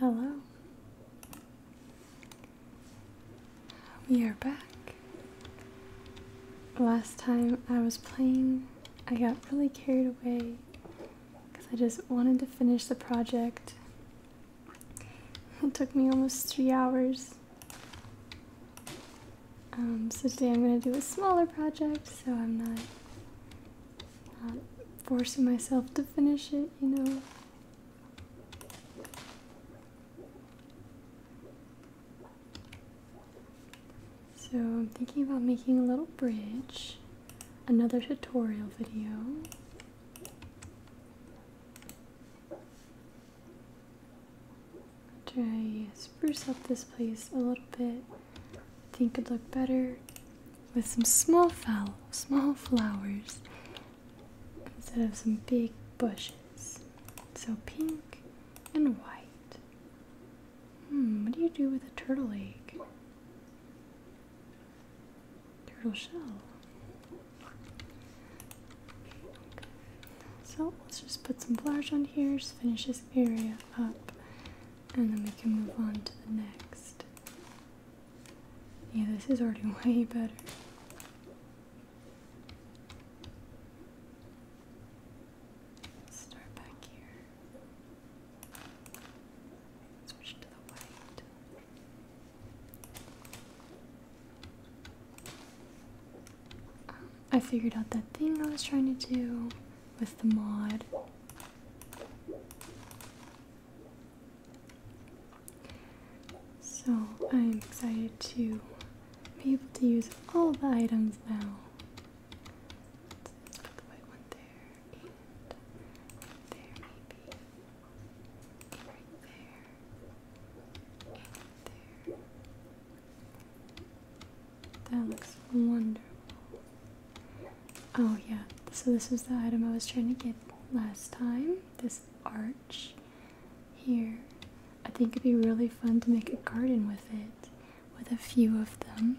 Hello. We are back. Last time I was playing, I got really carried away because I just wanted to finish the project. It took me almost three hours. Um, so today I'm going to do a smaller project, so I'm not, not forcing myself to finish it, you know. So I'm thinking about making a little bridge another tutorial video. Try spruce up this place a little bit. I think it'd look better with some small fowl, small flowers instead of some big bushes. So pink and white. Hmm, what do you do with a turtle egg? turtle shell. So let's just put some flowers on here, just finish this area up, and then we can move on to the next. Yeah, this is already way better. Start back here. Um, I figured out that thing I was trying to do with the mod. So I'm excited to be able to use all the items now. let the white one there. That looks wonderful. Oh yeah, so this is the item I was trying to get last time, this arch here. I think it'd be really fun to make a garden with it, with a few of them.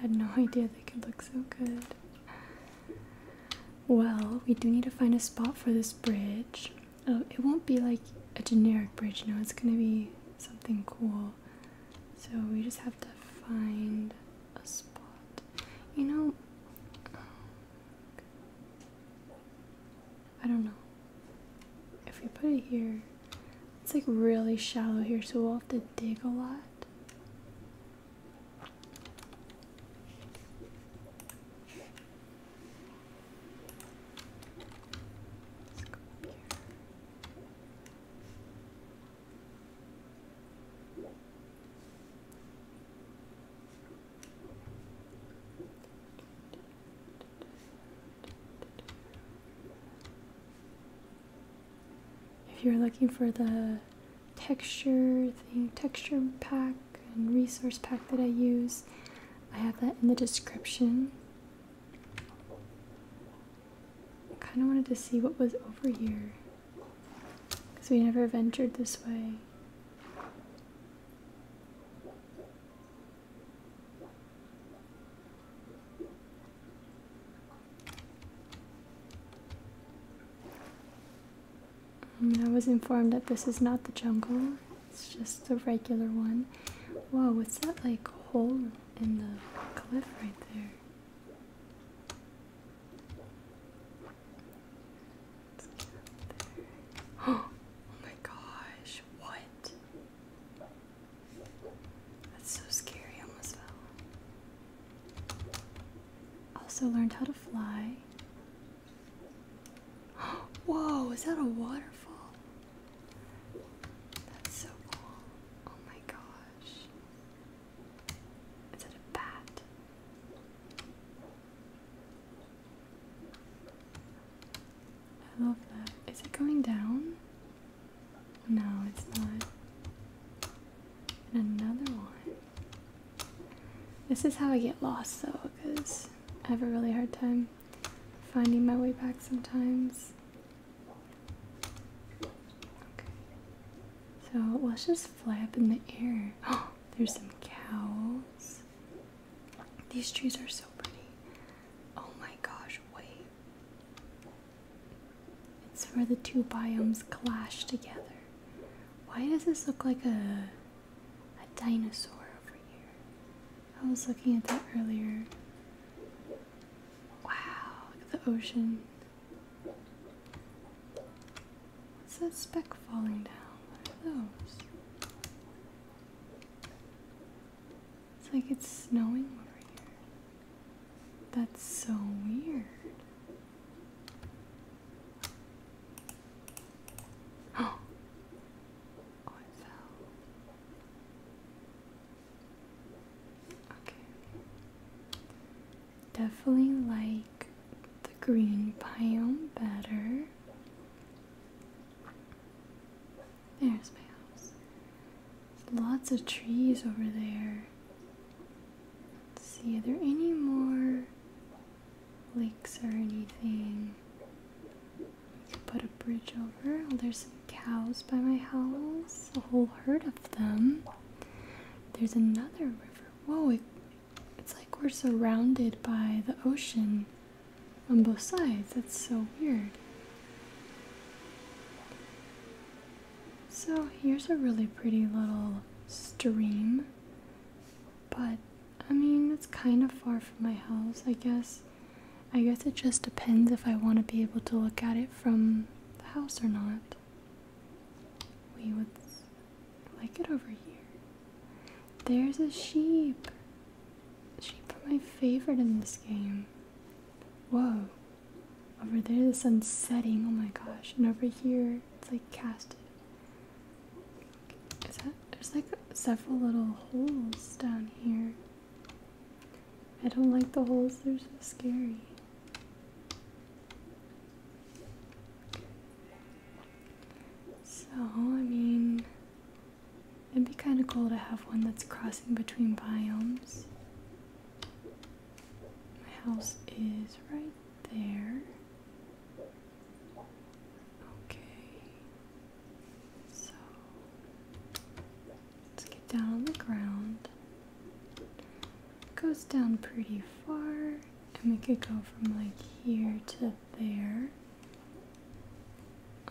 had no idea they could look so good. Well, we do need to find a spot for this bridge. Oh, it won't be like a generic bridge, no, it's gonna be something cool. So we just have to find a spot. You know, I don't know. If we put it here, it's like really shallow here, so we'll have to dig a lot. Let's go here. If you're looking for the texture thing, texture pack and resource pack that I use, I have that in the description. kind of wanted to see what was over here because we never ventured this way. Um, I was informed that this is not the jungle, it's just a regular one. Whoa, what's that like hole in the cliff right there? oh my gosh, what? That's so scary, I almost fell. Also learned how to fly. Whoa, is that a waterfall? That's so cool. Oh my gosh. Is that a bat? I love that. Is it going down? No, it's not. another one. This is how I get lost though, because I have a really hard time finding my way back sometimes. Okay. So let's just fly up in the air. Oh, there's some cows. These trees are so pretty. Oh my gosh, wait. It's where the two biomes clash together. Why does this look like a a dinosaur over here? I was looking at that earlier. Wow, look at the ocean. What's that speck falling down? those? It's like it's snowing over here. That's so weird. Oh, oh it fell. Okay. Definitely like the green biome better. There's my house. Lots of trees over there. Let's see, are there any more lakes or anything? Put a bridge over. Oh, there's some cows by my house, a whole herd of them. There's another river. Whoa, it's like we're surrounded by the ocean on both sides. That's so weird. So here's a really pretty little stream. But I mean, it's kind of far from my house, I guess. I guess it just depends if I want to be able to look at it from the house or not. We would like it over here. There's a sheep. Sheep are my favorite in this game. Whoa, over there, the sun's setting. Oh my gosh. And over here, it's like casted. Is that, there's like several little holes down here. I don't like the holes, they're so scary. So, I mean, it'd be kind of cool to have one that's crossing between biomes. My house is right there. Okay. So let's get down on the ground. goes down pretty far, and we could go from like here to there.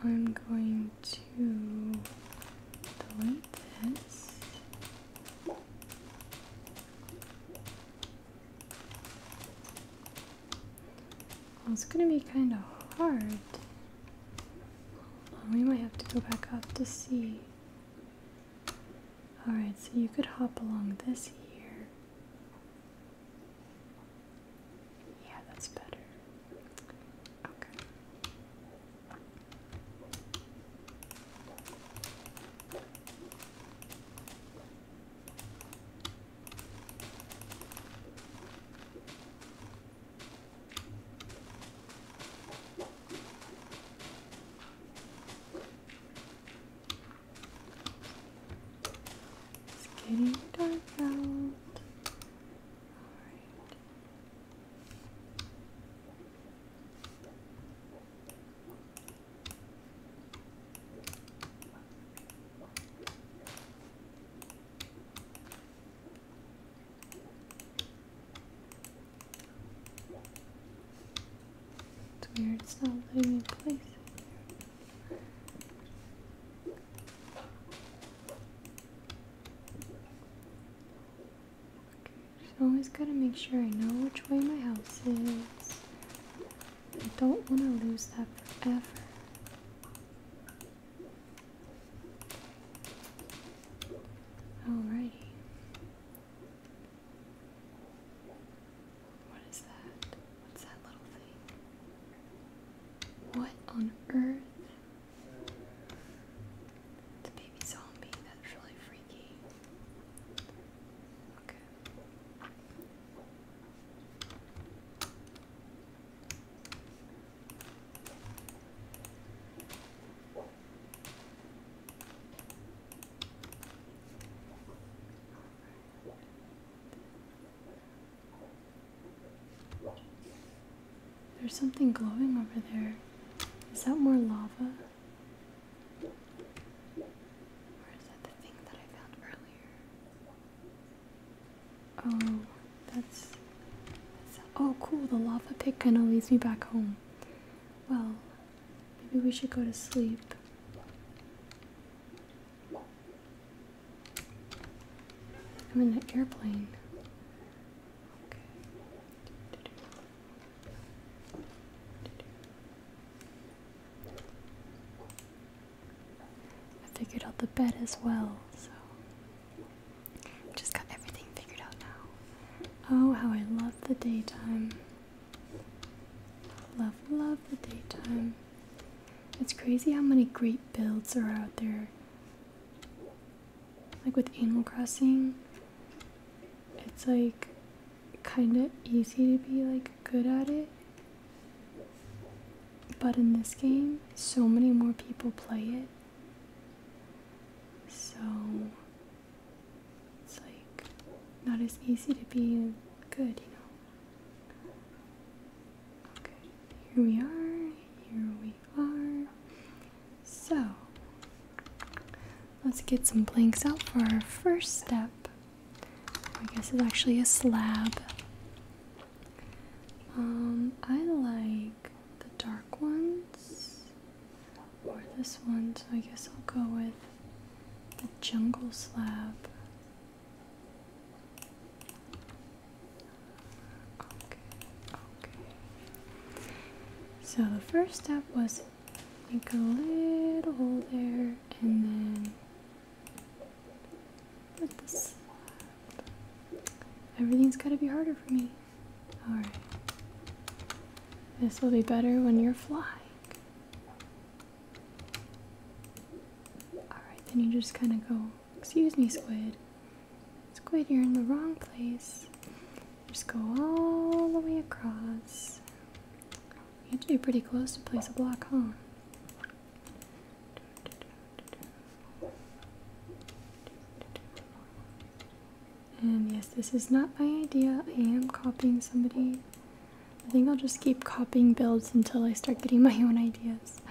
I'm going to delete this it's gonna be kind of hard. we might have to go back up to see. Alright, so you could hop along this here. Yeah, that's better. Okay. It's getting dark out. It's weird, it's not letting me place Okay, so always gotta make sure I know which way my house is. I don't want to lose that forever. Alrighty. What is that? What's that little thing? What on earth? It's baby zombie. That's really freaky. There's something glowing over there. Is that more lava? Oh, that's, oh cool. The lava pit kind of leads me back home. Well, maybe we should go to sleep. I'm in an airplane. I figured out the bed as well, so just got everything figured out now. Oh, how I love the daytime. Love, love the daytime. It's crazy how many great builds are out there. Like with Animal Crossing, it's like kind of easy to be like good at it. But in this game, so many more people play it. So it's like not as easy to be good, you know. Okay, here we are. Here we are. So Let's get some planks out for our first step. I guess it's actually a slab. Um, I like the dark ones or this one, so I guess I'll go with the jungle slab. Okay, okay. So the first step was make a little hole there and then with the Everything's gotta be harder for me. Alright. This will be better when you're flying. Alright, then you just kind of go, excuse me, squid. Squid, you're in the wrong place. Just go all the way across. You have to be pretty close to place a block, huh? And yes, this is not my idea. I am copying somebody. I think I'll just keep copying builds until I start getting my own ideas.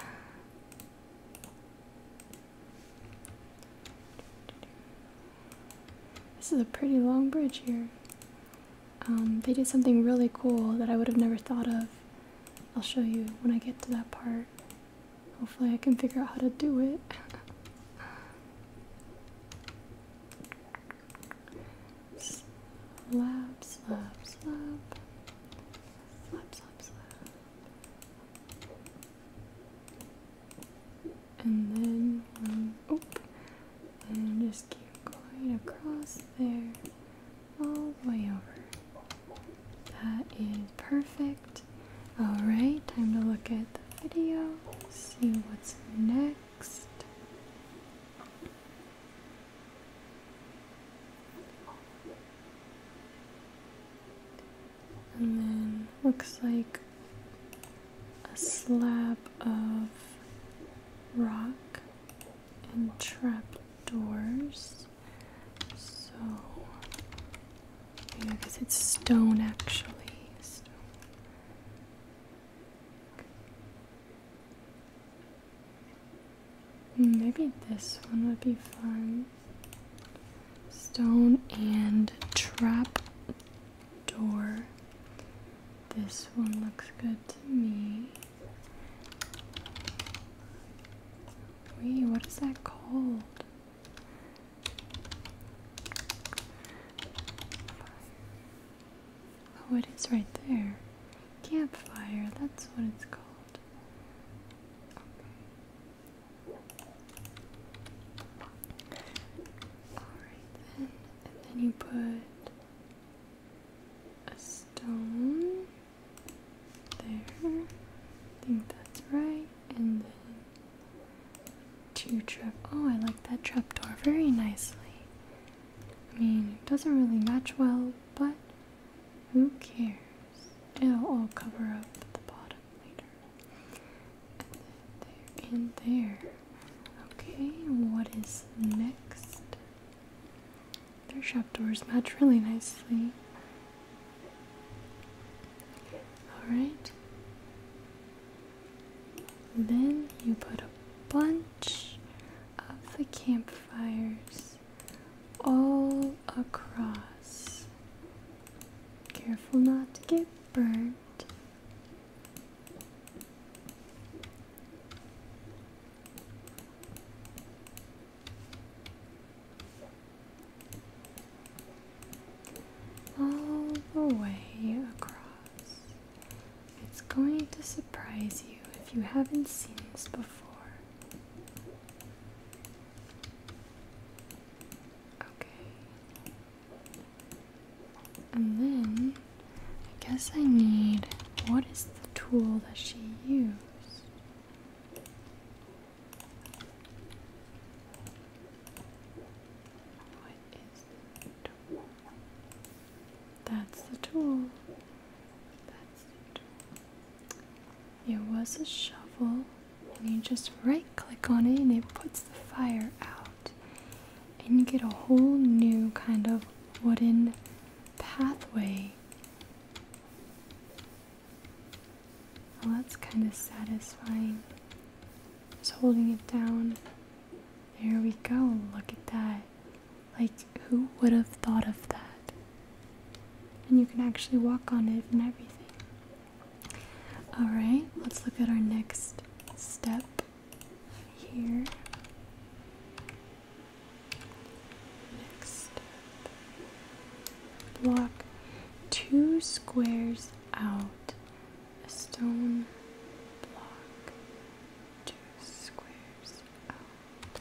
This is a pretty long bridge here. Um, they did something really cool that I would have never thought of. I'll show you when I get to that part. Hopefully, I can figure out how to do it. slap, slap, slap. Slap, slap, slap and then um, oop, and just keep going across there all the way over. That is perfect. Alright, time to look at the video, see what's next. And then looks like a slab of rock and trap doors. So yeah, because it's stone actually. Hmm, maybe this one would be fun. Stone and trap door. This one looks good to me. Wait, what is that called? Oh, it is right there. Campfire, that's what it's called. Alright then, and then you put a stone there. I think that's right. And then two trap. Oh, I like that trap door very nicely. I mean, it doesn't really match well, but who cares? It'll all cover up the bottom later there and there. Okay, what is next? Their shop doors match really nicely. Alright. Then you put a bunch of the campfires all across. Careful not to get burnt all the way across. It's going to surprise you if you haven't seen this before. Okay. And then I guess I need what is the tool that she used? What is the tool? That's the tool. That's the tool. It was a shovel, and you just right click on it and it puts the fire out and you get a whole new kind of wooden pathway. Well, that's kind of satisfying. Just holding it down. There we go. Look at that. Like, who would have thought of that? And you can actually walk on it and everything. Alright, let's look at our next step here. Next block two squares out a stone block. Two squares out.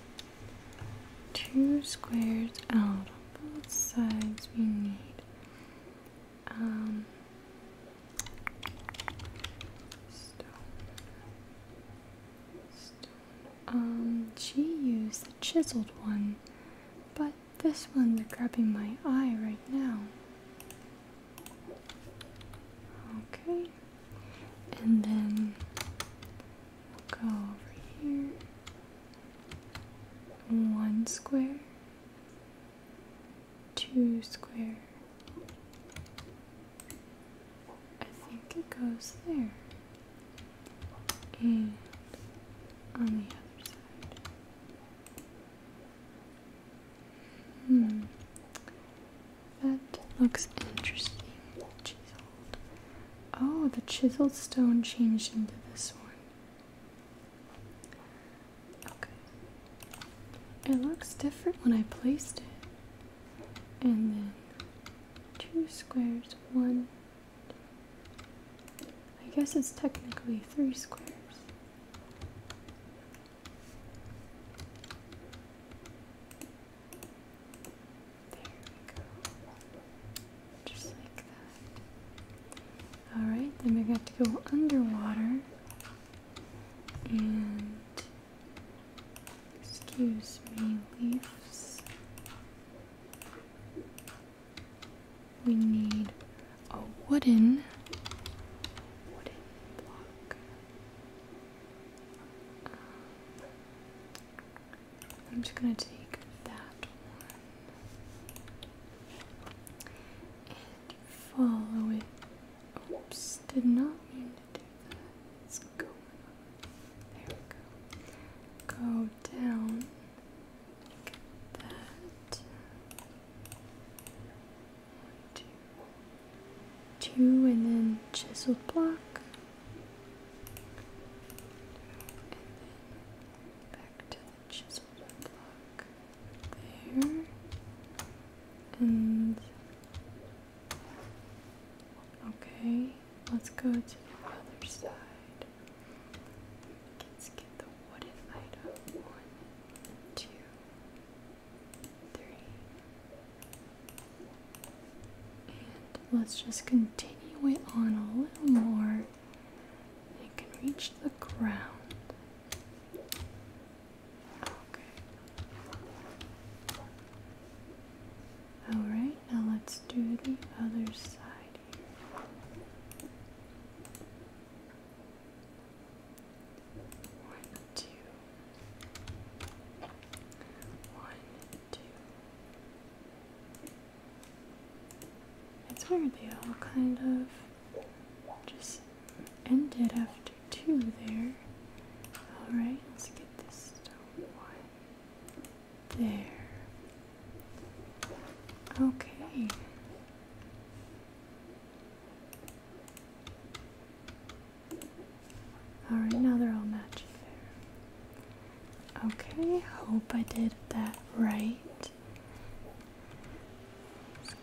Two squares out on both sides. We need um um, she used the chiseled one, but this one they're grabbing my eye right now. Okay, and then go over here. One square, two square. I think it goes there. And on the other side. Hmm. That looks interesting. Chiseled. Oh, the chiseled stone changed into this one. Okay. It looks different when I placed it. And then two squares, one. I guess it's technically three squares. There we go. Just like that. Alright, then we got to go underwater. And Excuse me, leaves. We need a wooden block. Um, I'm just gonna take that one and follow it Oops, did not mean to do that. It's going on. There we go. Go down. Get that. One, two. and then chisel block. back to the chisel block. There. And Okay, let's go to the other side. Let's get the wooden light up. One, two, three. And let's just continue it on a little more. It can reach the ground. Alright, now let's do the other side One, two. One, two. It's weird, they all kind of just ended after 2 there. Alright, let's get this stone one. There. Okay. Alright, now they're all matching there. Okay, hope I did that right.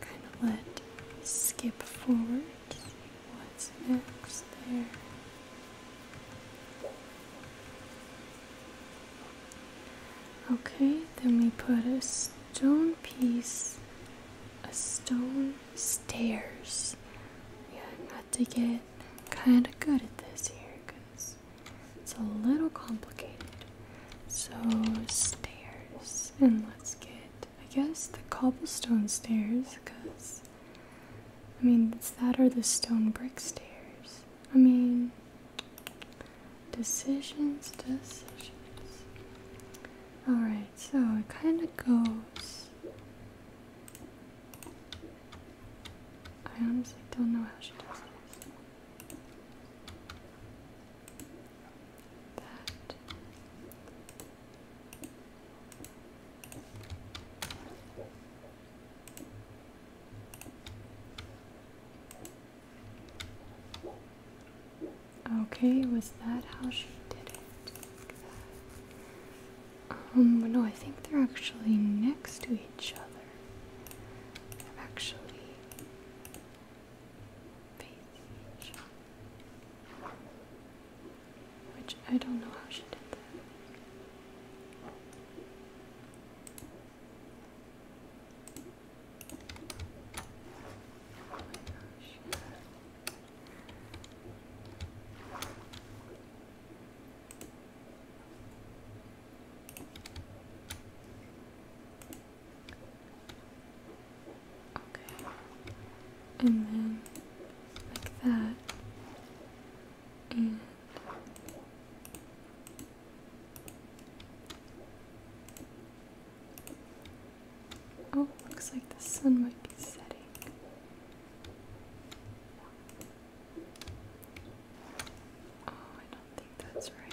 kind of let skip forward what's next there. Okay, then we put a stone piece, a stone stairs. Yeah, I got to get kind of good at this here because it's a little complicated. So, stairs, and let's get, I guess, the cobblestone stairs because I mean, that or the stone brick stairs. I mean, decisions, decisions. Alright, so it kind of goes. I honestly don't know how she does this. That. Okay, was that how she did it? um, no, I think they're actually next to each other. actually each other. Which I don't know how she did that. Oh Okay. And then like that. And Oh, looks like the sun might be setting. Oh, I don't think that's right.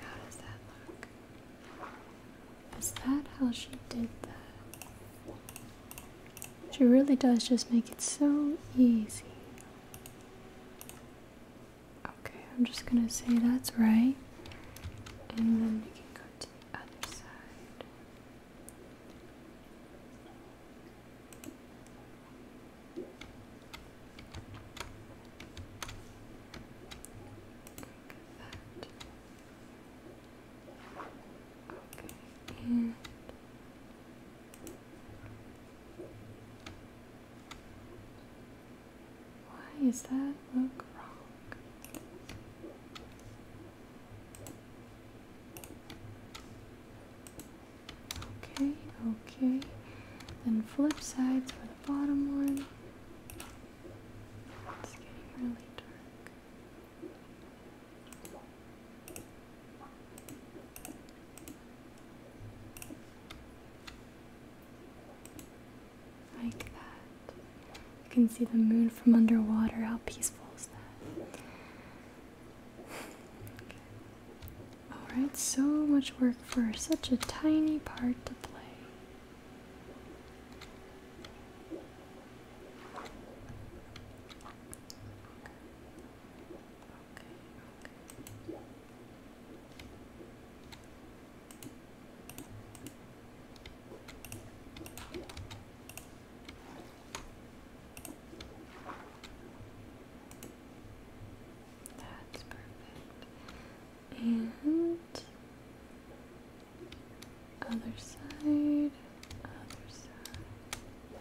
How does that look? Is that how she did that? She really does just make it so easy. Okay, I'm just gonna say that's right. And then we can go to the other side why is that look wrong? Okay, okay. Then flip sides for the bottom one. It's getting really dark. Like that. You can see the moon from underwater. How peaceful is that? Alright, so much work for such a tiny part to play. That's perfect. And other side, other side.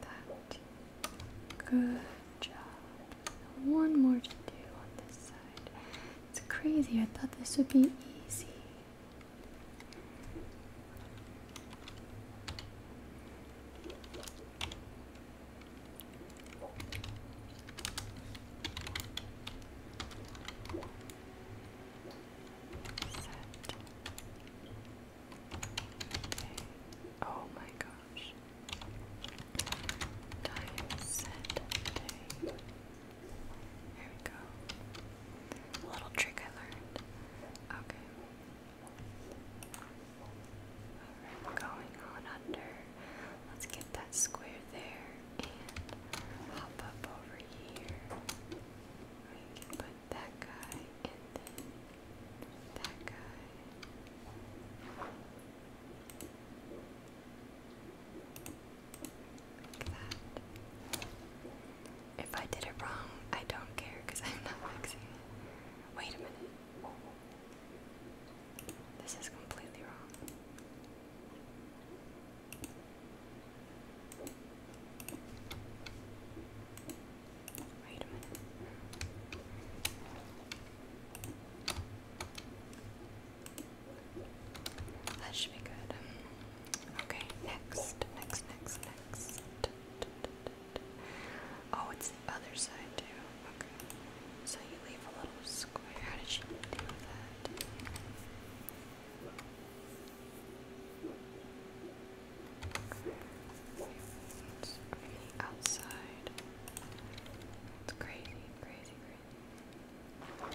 That. Good job. one more to do on this side. It's crazy. I thought this would be easy. Set. Okay. Oh my gosh. Time set day. we go. little trick I learned. Okay going on under. Let's get that square there and hop up over here. We can put that guy and that guy. If I did it wrong, I don't care because I'm not fixing it. Wait a minute. This is completely wrong. Wait a minute. That should be good. Okay, next, next, next, next. Oh, it's the other side too. Okay. So you leave a little square. How did she do that? It's the outside. It's crazy, crazy, crazy.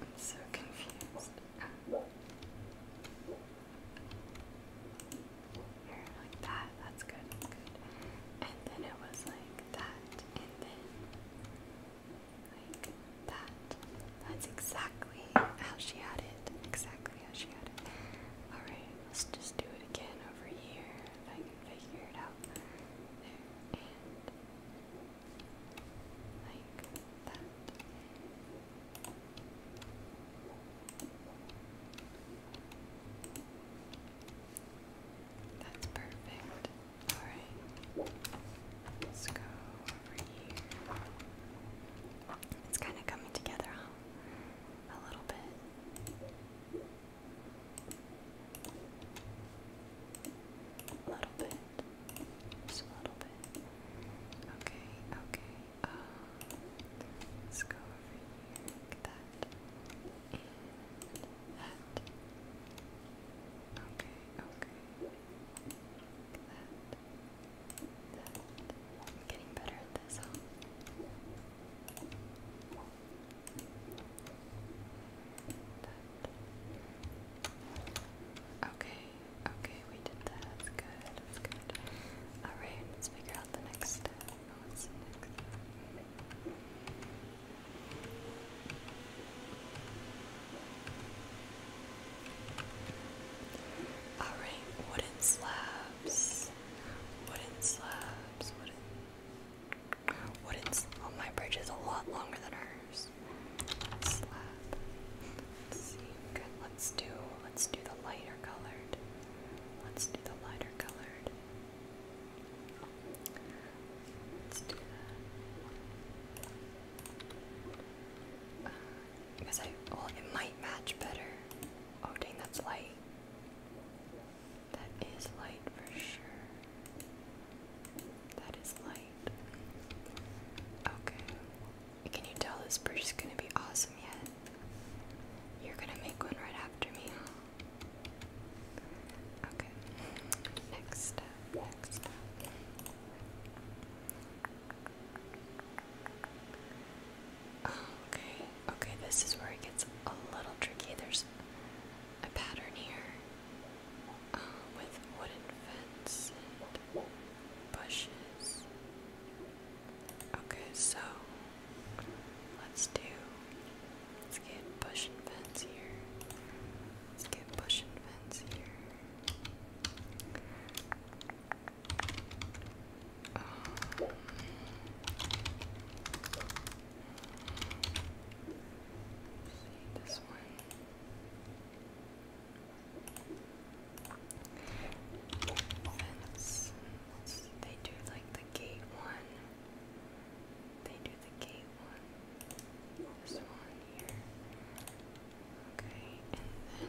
I'm so confused. like that. That's good. good. And then it was like that. And then like that. That's exactly how she had it. Exactly how she had it. Alright, let's just do it again over here. If I can figure it out. There. And like that. That's perfect. Alright. Let's go over here. It's kind of coming together, huh? A little bit. A little bit. Okay, okay. Uh, let's go over here. that. that. Okay, okay. that. That. getting better at this, Okay, Okay, we did that. good. good. All right, let's figure out the next step. the next step? All right, wooden slabs. Wooden slabs. Wooden. Wooden. Oh, my bridge is a lot longer than hers slab. Let's see. Good. Let's do. Let's do the lighter colored. Let's do the lighter colored. Let's do that. Uh, because I well, it might match better. Oh dang, that's light. That is light for sure. That is light. Okay, can you tell this bridge is gonna be awesome yet? You're gonna make one right after me. Okay. Next up, next up. Okay, okay, this is where it gets a little tricky. There's a pattern here uh, with wooden fence bushes. Okay, so let's do let's get bush and here. Let's get bush and here. Um, see this one. Let's, they do like the gate one. They do the gate one. This one here. Okay, and then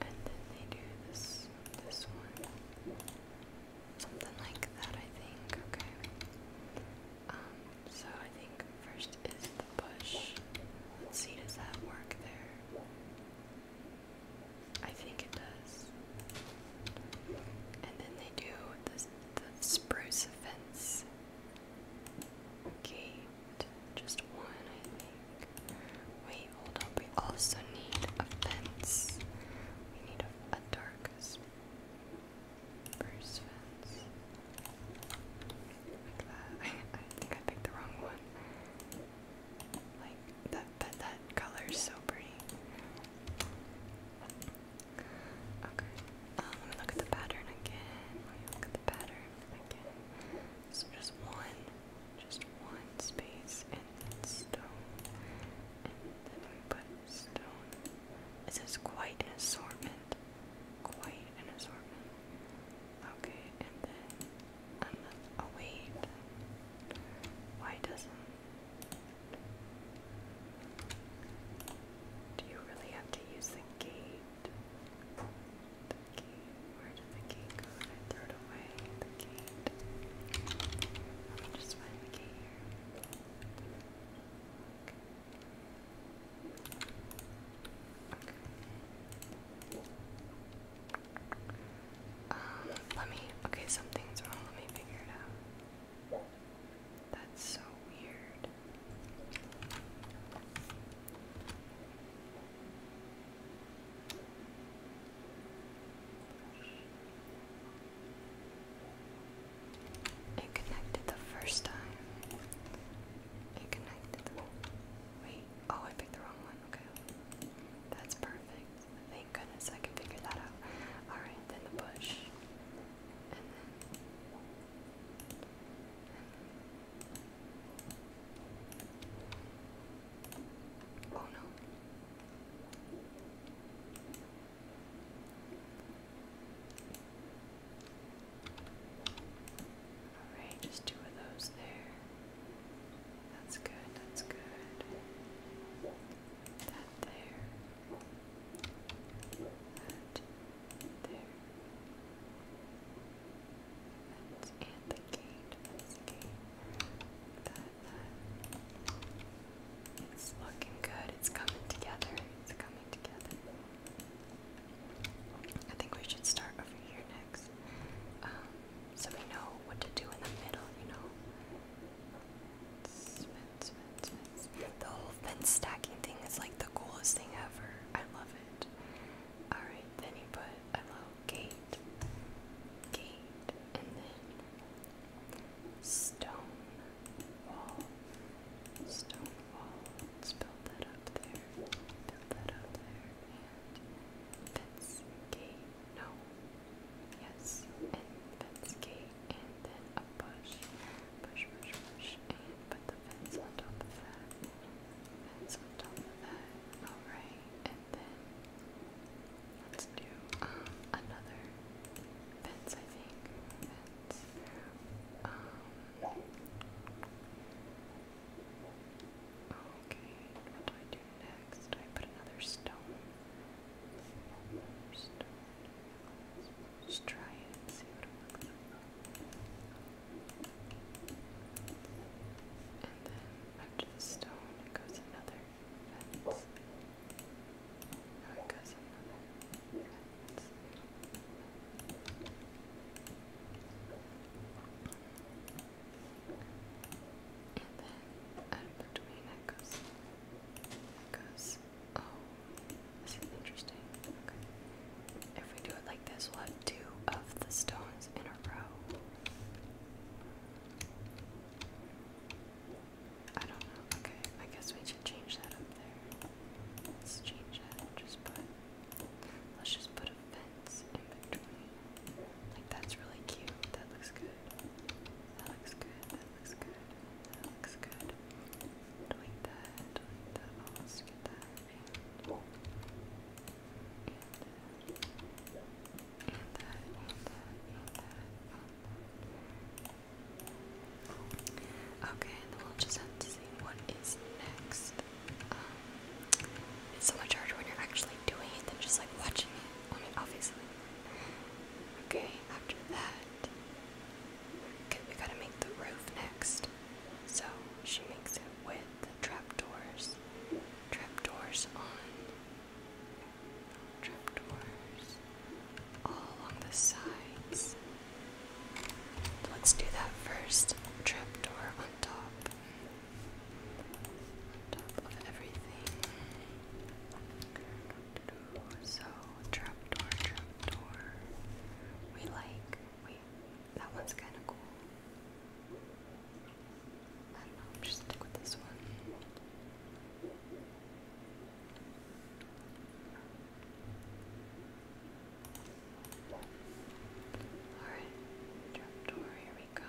and then they do this this one. Something like that I think, okay. Um, so I think first is the push. Let's see, does that work there? I think it does. And then they do the, the spruce fence gate. Just one, I think. Wait, hold up. We also need a fence. We need a, a dark spruce fence. I, think I picked the wrong one. Like that, but that color is so pretty. Okay, um, let me look at the pattern again. look at the pattern again. So just one, just one space, and stone, and then we put stone. It says quite an assortment. Quite an assortment. Okay, and then another. Oh wait, why doesn't? Do you really have to use the gate? The gate. Where did the gate go? I threw it away. The gate. Let me just find the gate here. Um, let me, okay, something's wrong, let me figure it out. That's so weird. It connected the first time. It connected Wait, oh, I picked the wrong one. Okay. That's perfect. Thank goodness I can figure that out. Alright, then the bush. Oh no. Alright, just two of those there. That's good, that's good. That there. That there. That's and the gate. That's the gate. That, that. It's looking good. It's coming together. It's coming together. I think we should start over here next. Um, so we know what to do in the middle, you know? The whole fence stacking thing is like the coolest thing ever. I love it. Alright, then you put a little gate, gate, and then stone wall, stone wall. let that up there, build that up there and Vetscano. Yes, and Vetsky, and then a push. Push, push, push, and put the fence on top of that. Fence on top of that. Alright, and then um, let's do another fence, I think. Fence. Um, Okay, what do I do next? Do I put another stone? Another try it see what it And then after the stone, it goes another it goes another and then uh, in between it goes, it goes, oh, this is interesting. Okay. If we do it like this, we'll have two of the stones in a row. I don't know. Okay, I guess we should change that up there. Let's change that. Just put. Let's just put a like that's really cute. That looks good. That looks good. That looks good. That looks good. Like that. Like that. Almost that. Okay, and we'll just have to see what is next. Um, it's so much harder when you're actually doing it than just like watching it on obviously. Okay, after that, we gotta make the roof next. So she makes it with trapdoors, trapdoors on, trapdoors all along the sides. Let's do that first. Trapdoor on top of everything. So trapdoor, trapdoor. We like. Wait, that one's kind of cool. I don't know. I'm just stick with this one. Alright, trapdoor, here we go.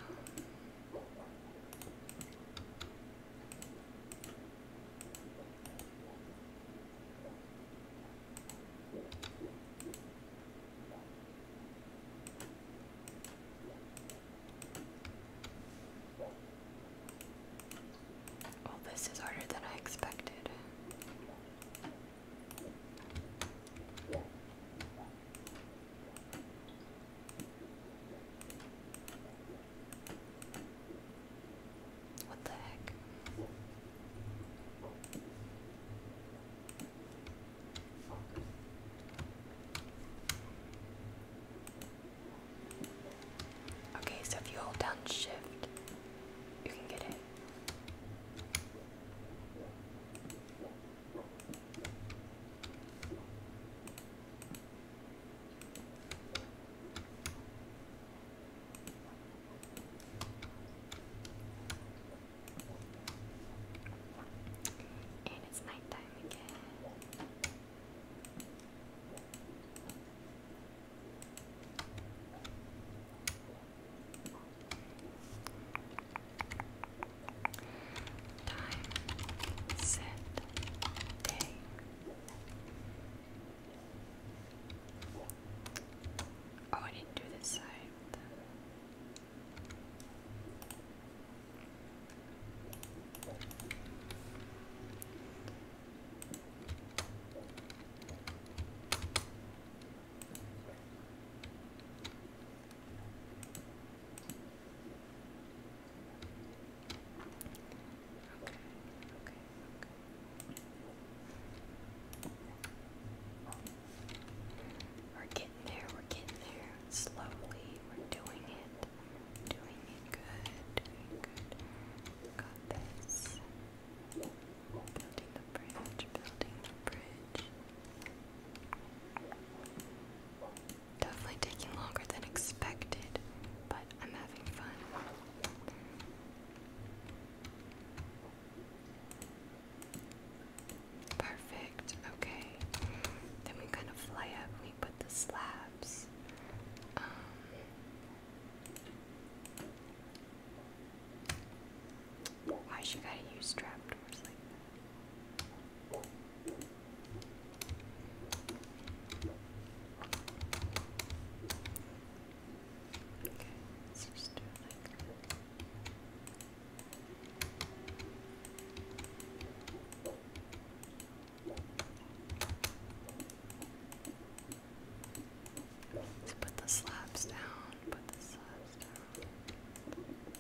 Well, this is harder than I expected. What the heck? Okay, so if you hold down shift, you can get it. And it's night again. Time, set, day. Oh, I didn't do this side. We're getting there, we're getting there. Slowly, we're doing it. Doing it good, Got this. Building the bridge, building the bridge. Definitely taking longer than expected, but I'm having fun. Perfect, okay. Then we kind of fly up we put the slabs. Um, why should I use trapdoors like that? Okay, let put the slabs down, put the slabs down.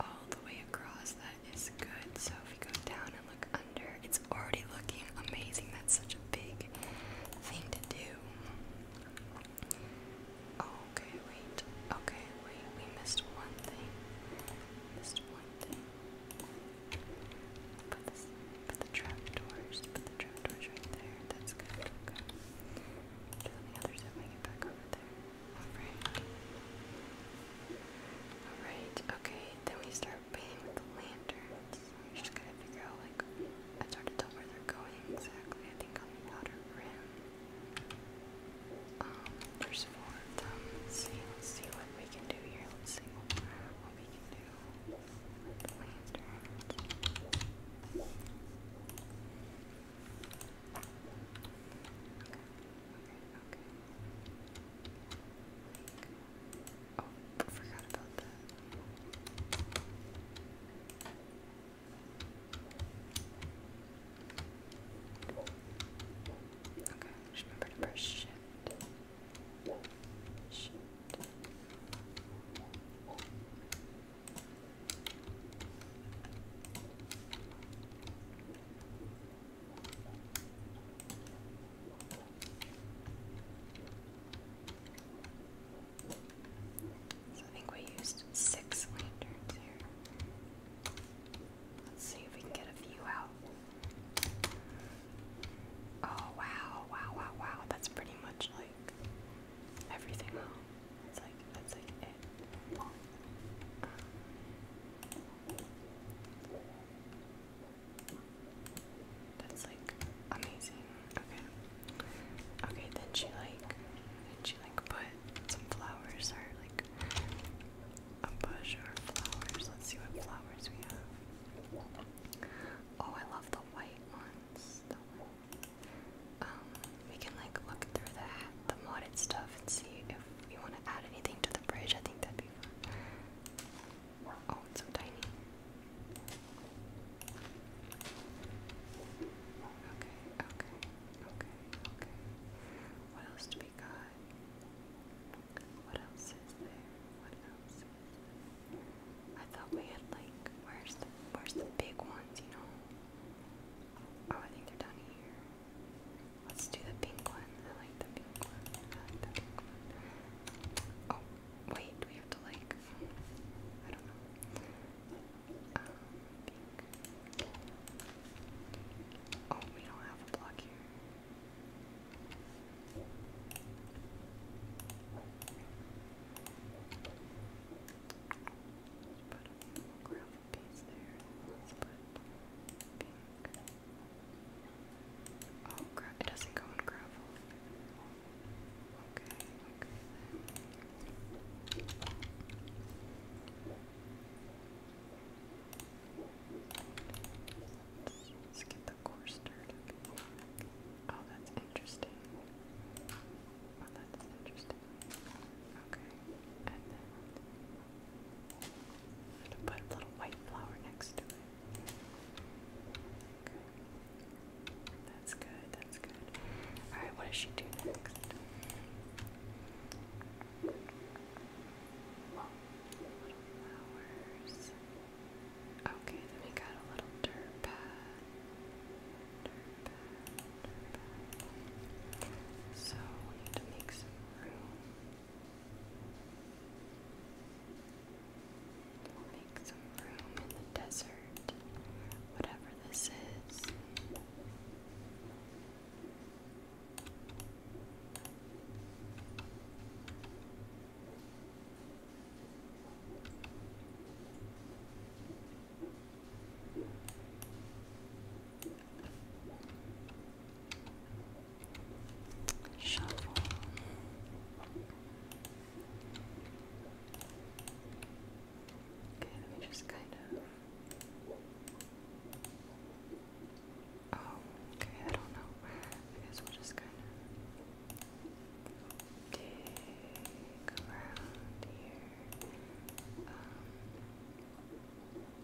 all the way across. That is good. So if you go down and look under, it's already looking amazing. That's such a big thing to do. Okay, wait. Okay, wait. We missed one thing. Missed one thing. Put the trapdoors. Put the trapdoors right there. That's good. Okay. Do on the other back over there. Alright. Alright, okay, then we start painting the lanterns. We just gotta figure out, like, it's hard to where they're going exactly. I think on the outer rim. Um, there's four of them. see, see what we can do here. Let's see what we can do with the lanterns. Like, oh, forgot about that. Okay, just remember to press shift. Shift. I think we used six lanterns here. Let's see if we can get a few out. Oh wow, wow, wow, wow. That's pretty much like everything. It's like that's like that's like amazing. Okay. Okay, then she like then she like put some flowers or like a bush or flowers. Let's see what flowers we have. Oh, I love the white ones. Um, we can like look through the the modded stuff and see if if we want to add anything to the bridge, I think that'd be fun. Oh, it's so tiny. Okay, okay, okay, okay. What else do we got? What else is there? What else I thought we had like where's the where's the big ones, you know? Oh, I think they're down here. Let's do the pink one. I like the pink one. Oh, wait, we have to like I don't know. Um, oh, we don't have a block here. let Oh, gra it doesn't go in gravel. Let's, get the core started. Oh, that's interesting. Oh, that's interesting. Okay, and then put a little white flower next to it. Okay. That's good, that's good. Alright, what does she do next? Okay, then we got a little dirt pad. Dirt pad, dirt pad. So we need to make some room. We'll make some room in the desert, whatever this is. Shuffle. Okay, let me just kind of. Oh, okay, I don't know. I guess we'll just kind of dig around here. Um,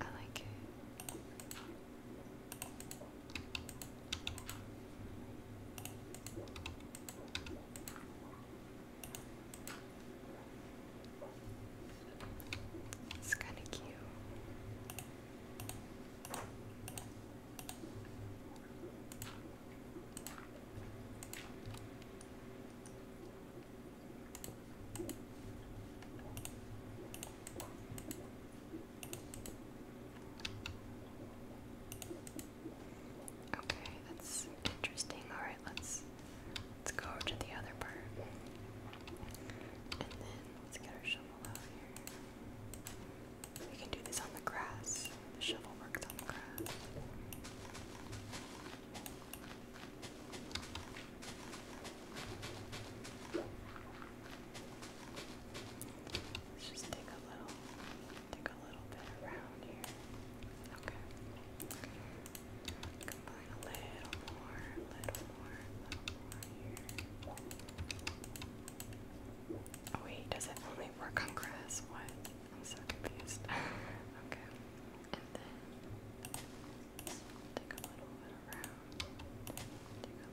I like it. It's kind of cute. Okay, that's interesting. All right, let's let's go to the other part, and then let's get our shovel out here. We can do this on the grass. The shovel works on the grass. Let's just take a little, take a little bit around here. Okay. Combine a little more, a little more, a little more here. Oh wait, does it only work on grass? What? I'm so confused. okay. And then take a little bit around. Take a little bit around.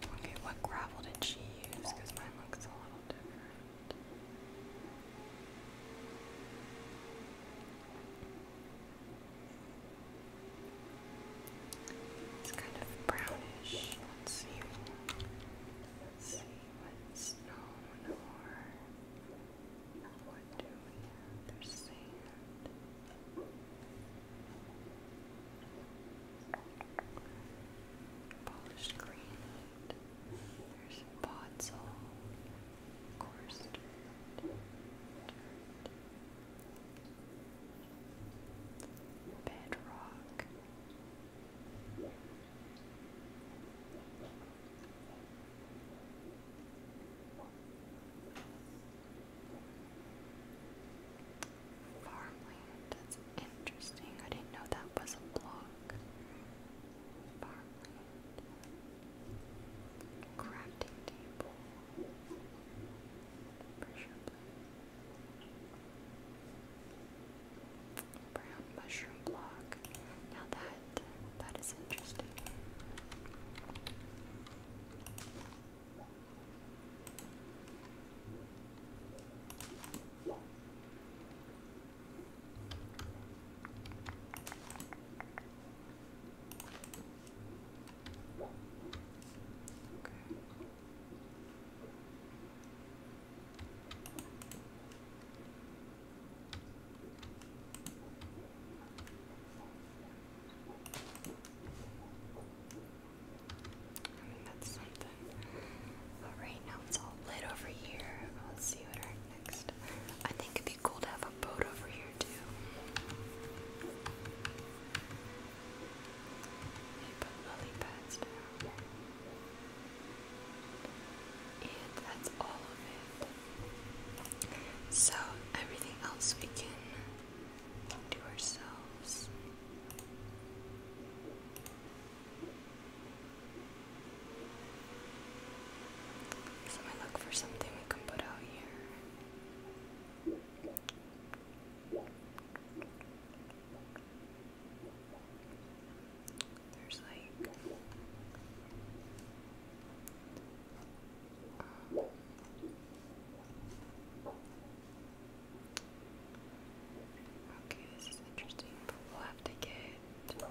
Okay, what gravel did she use? Because mine looks a little different. It's kind of brownish. Let's see. see what's snow or what do we have? There's sand. Polished granite. There's podzol. Coarse Bedrock, Farmland, that's interesting. I didn't know that was a block. Farmland. Crafting table. Pressure Brown mushroom block. Now that that is interesting. Okay that's something. All right, now it's all lit over here. Let's see what our next. I think it'd be cool to have a boat over here too. You put lily pads down. And that's all of it. So everything else we can do ourselves. So I look for something we can put out here. There's like um, Okay, this is interesting, but we'll have to get anvil.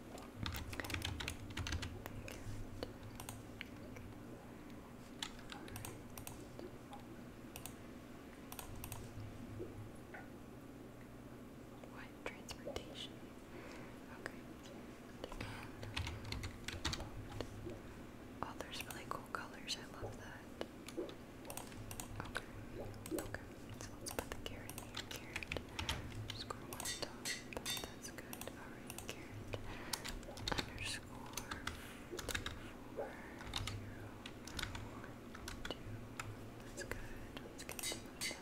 What transportation? Okay. oh, there's really cool colors. I love that. Okay. Okay. let's put the carrot here. Carrot. Just go on top that's good. Alright, underscore four zero one two. That's good. Let's continue with that.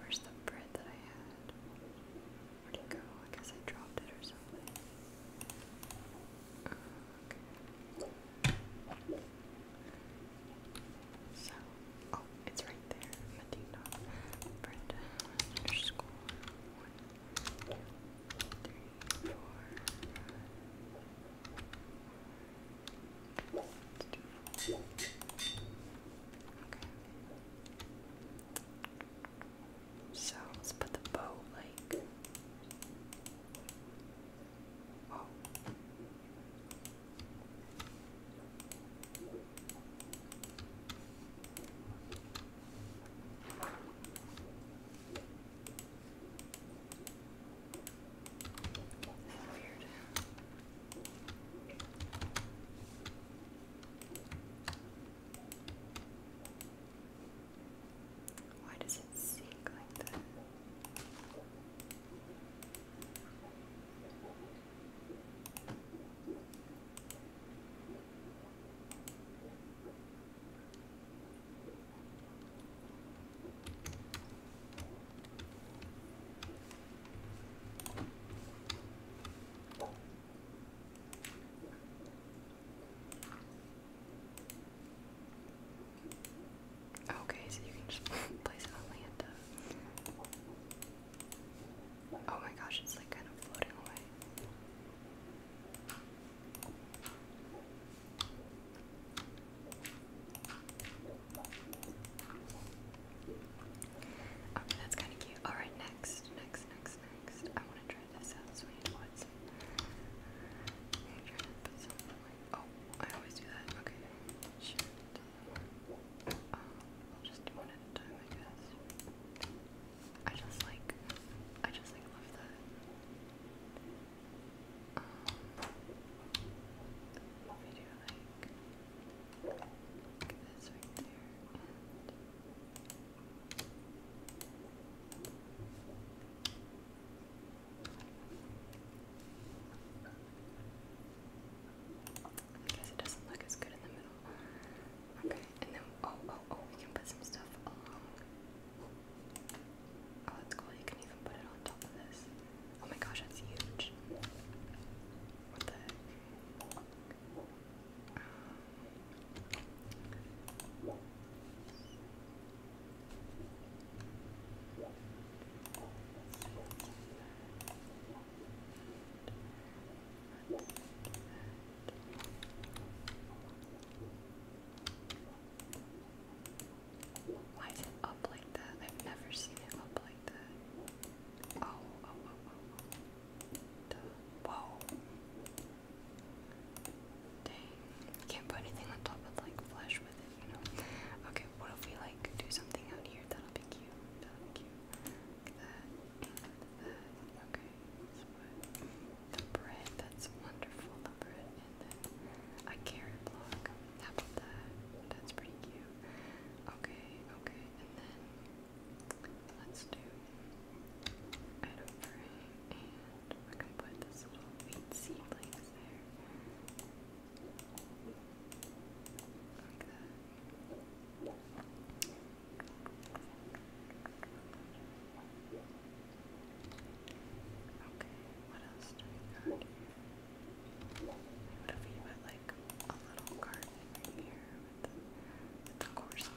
where's the bread that I had? Where'd it go? I guess I dropped it or something. Oh, so, oh, it's right there. Medina, Brenda, underscore one, two, three, four. Let's Okay. So let's put the bow like. Oh. Weird. Why does it sink like that? Okay, so you can just place it on Lanta. Oh my gosh, it's like kind of floating away. Okay, oh, that's kind of cute. Alright, next, next, next, next. I want to try this out, so we Oh, I always do that. Okay. I'll just do one at a time, I guess. I just like, I just like love that. Um, video like, like this right there, Okay, and then oh oh oh, we can put some stuff Oh, that's cool. You can even put it on top of this. Oh my gosh, that's huge. What the heck? Um, why is it up like that? I've never seen it up like that. Oh, oh, oh, oh, oh. Whoa. Dang. Can't put anything on top of like flesh with it, you know? Okay, what if we like do something out here? That'll be cute. That'll be cute like that, that. Okay, the bread, that's wonderful, bread, and then a carrot block. How that? That's pretty cute. Okay, okay, and then let's do item frame, and we can put this little wheat seedlings there. Like Okay, what else do we got What if you went like a little garden right here with the, with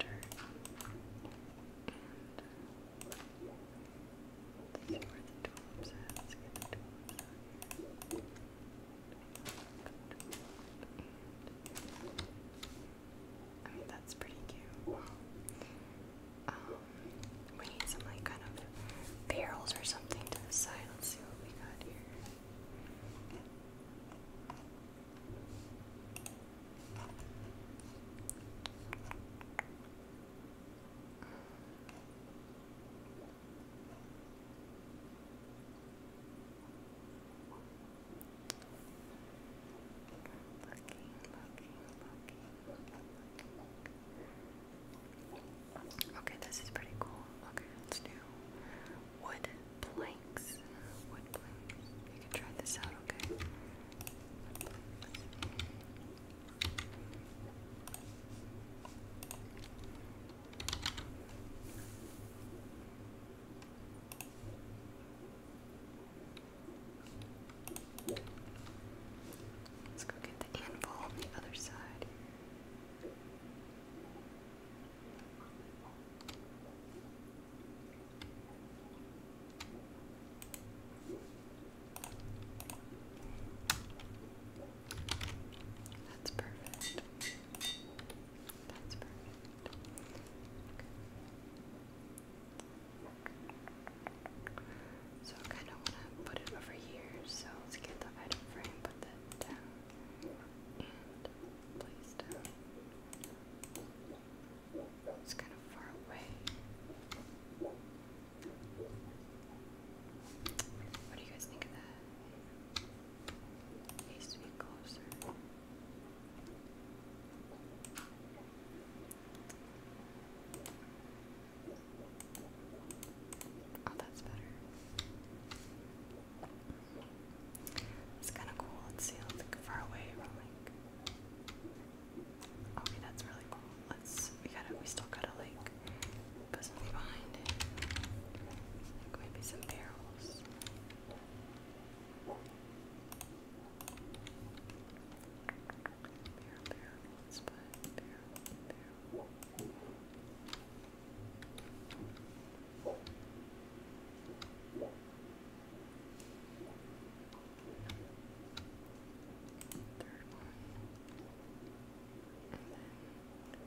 let's see where the tulips at. Let's get the tulips out here. I mean, that's pretty cute. Um, we need some like kind of barrels or something to the side. Let's see what we got here. Looking, looking, looking. Okay, this is pretty cool. Okay, let's do wood planks. Wood planks. You can try this out, okay? Let's go get the anvil on the other side. That's perfect. That's perfect. So kind of want to put it over here, so let's get the item frame, put that down. It's kind of far away. What do you guys think of that? Oh, that's better. It's kind of cool. Let's see, let's look far away Okay, that's really cool. Let's. We gotta. We still got a lake. Put something behind it. maybe some barrels. Barrel, barrel, it's fine. Barrel, barrel. Third one. And then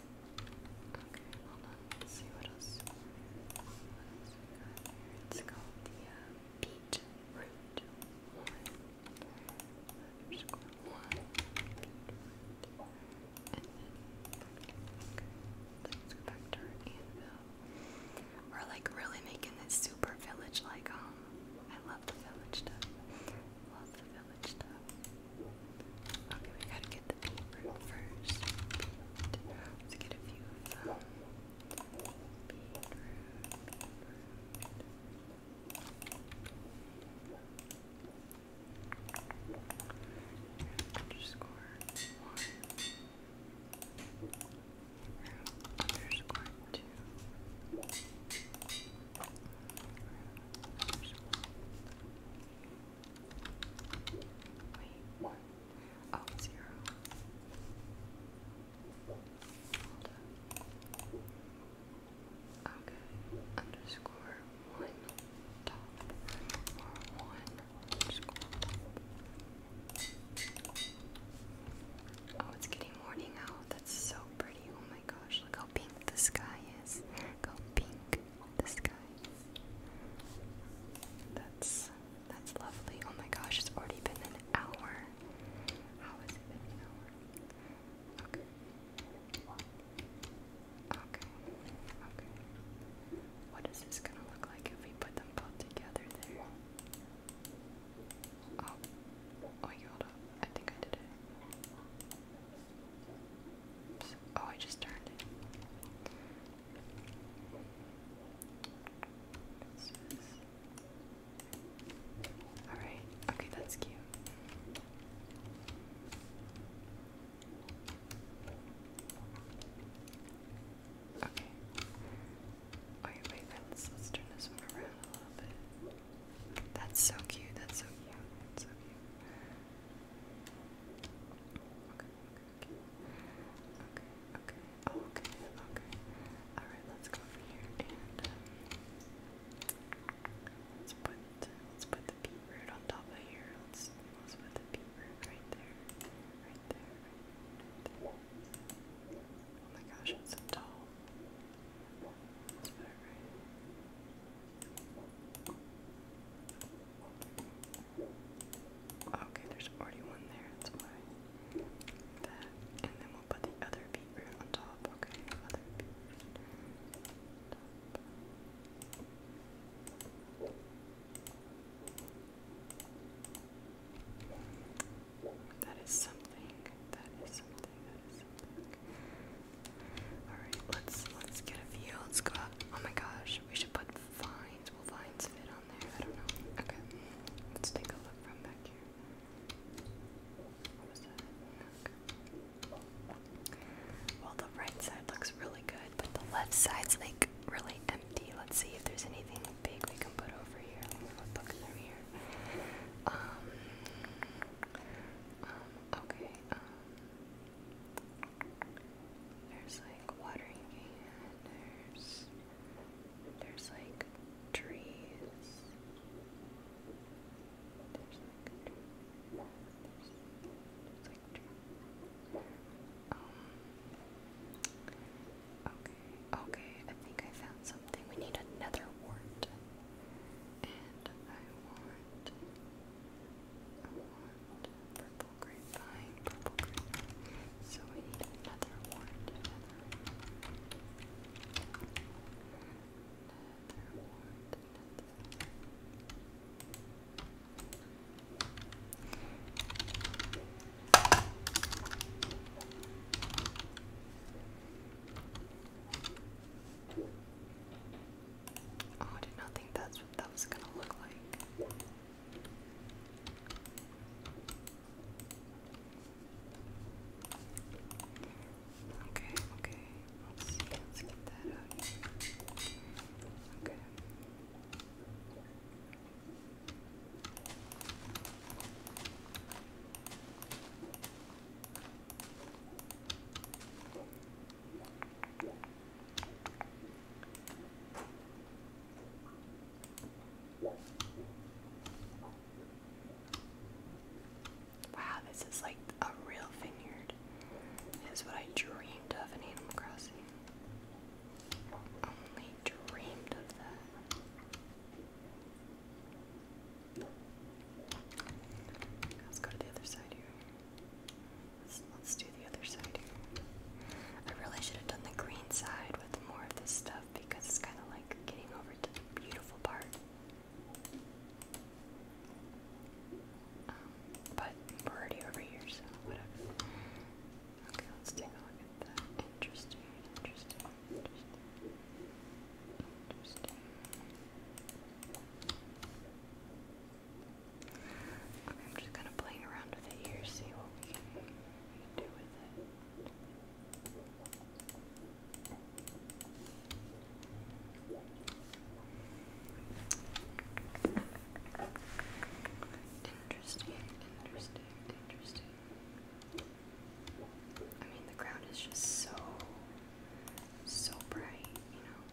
Okay, hold on. Let's see what else. What else we the uh, beet root one. one. okay, let's go back to anvil. We're like really making this super village like um I love the village stuff village stuff. Okay, we gotta get the beet first. Let's get a few of them. Beetroot, Underscore one. Underscore two. Wait, oh, Okay, underscore one top one underscore Oh, it's getting morning out. That's so pretty. Oh my gosh, look how pink the sky is. Look how pink the sky. That's that's lovely. Oh my gosh, it's already been an hour. How has it been an hour? Okay. Okay. Okay. What is this gonna look like if we put them both together there? Oh. Oh, hold up. I think I did it. Oh, I just turned it. Alright, okay, that's cute. Okay. Alright, wait, let's, let's turn this one around a little bit. That's so cute, that's so cute, that's so cute okay, okay, okay, oh, okay, okay. All right, let's go over here let's put let's put the beet on top of here. Let's let's put the beet right there, right there, right there. Oh my gosh, it's so tall. Okay, there's already one there, that's why. That, and then we'll put the other beet root on top. Okay, other beet root on top. That is something. That is something. That is something. All right, let's let's get a view. Let's go. Up. Oh my gosh, we should put vines? Will vines fit on there? I don't know. Okay, let's take a look from back here. Well, the right side looks really good, but the left side's like really empty. Let's see if there's anything big we can put over here. Let me look through here. Um, um, okay. Um, there's like watering can, there's there's like trees. There's like trees. There's, like trees. Um, okay, okay, I think I found something. We need another wart purple grapevine, So we need another one, Oh, I did not think that's that was gonna look like. Okay, okay. Let's see, let's get that out Okay. Wow, this is like a real vineyard. It is what I dreamed of in Animal Crossing. Only dreamed of that. Let's go to the other side here. Let's, do the other side I really should have done the green side with more of this stuff because it's kind of like getting over to the beautiful part. Um, but we're already over here, so whatever. Okay, let's take a look at that. Interesting, interesting, interesting. Interesting. I'm just gonna play around with it here, see what we can, we can do with it. Interesting, interesting, interesting. I mean, the ground is just so, so bright, you know.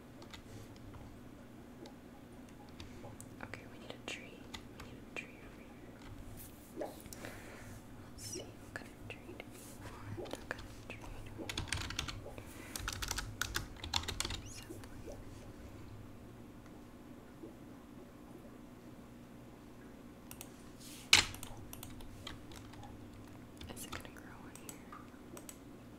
Okay, we need a tree. We need a tree over here. Let's see, what kind of tree What kind of tree Is it gonna grow on here?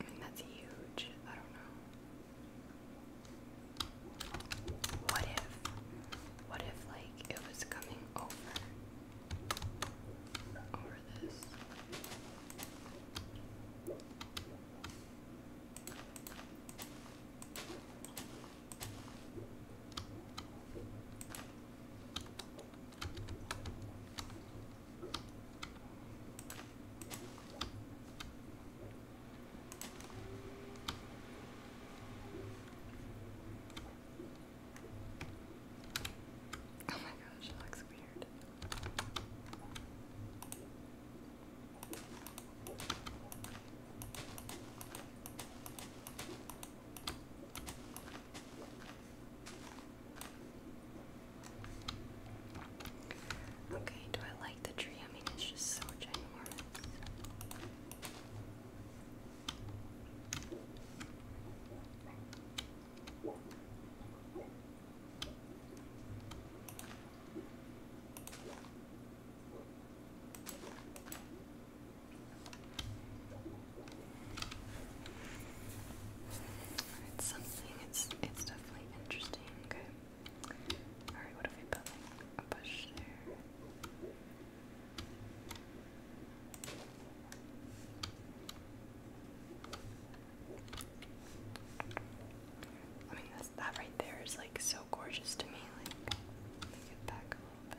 I mean, that's huge. I don't know. What if, what if, like, it was coming over, over this? Oh my gosh, it looks weird. Okay, do I like the tree? I mean, it's just so ginormous. It's something. It's it's definitely interesting. Okay. All right. What are we building? A bush there. I mean, that's, that right there is like so gorgeous to me. Like, let me back a little bit.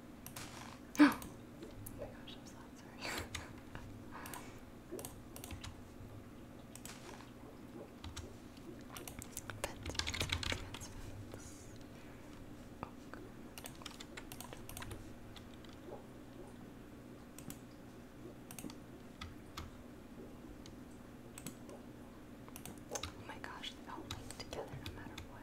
oh my gosh, I'm so sorry. Fence, fence, fence, Oh my gosh, they all link together no matter what.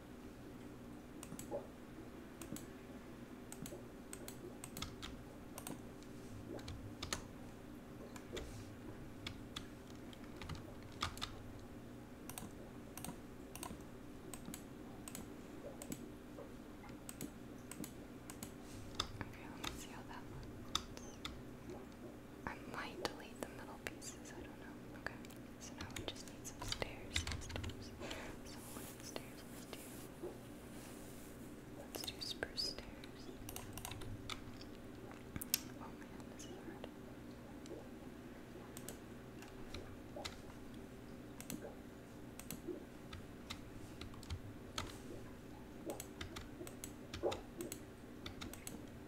Okay, let me see how that looks. I might delete the middle pieces, I don't know. Okay, so now we just need some stairs. stairs. So what stairs let's do? Let's do spruce stairs. Oh man, this is hard. Okay,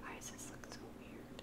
Why does this look so weird?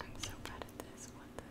I'm so bad at this. What the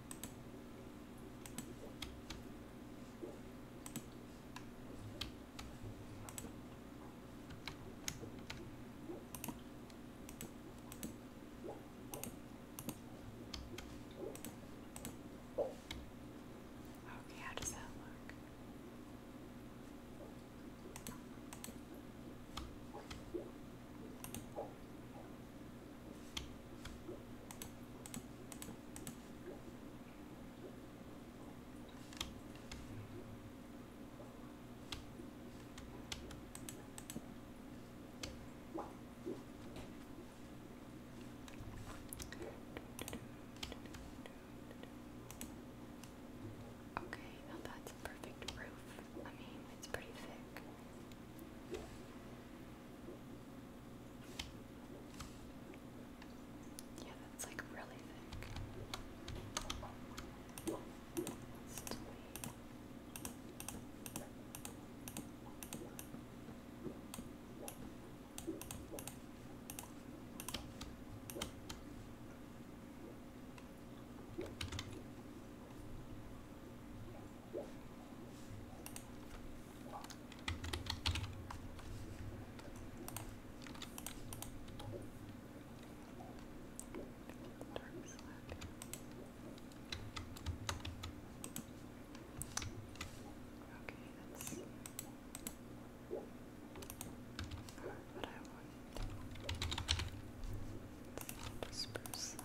Okay, how does that look? Okay, now that's perfect roof. I mean, it's pretty thick. Yeah, that's like really thick. Dark slack. Okay, that's what I want. It's not a spruce slab.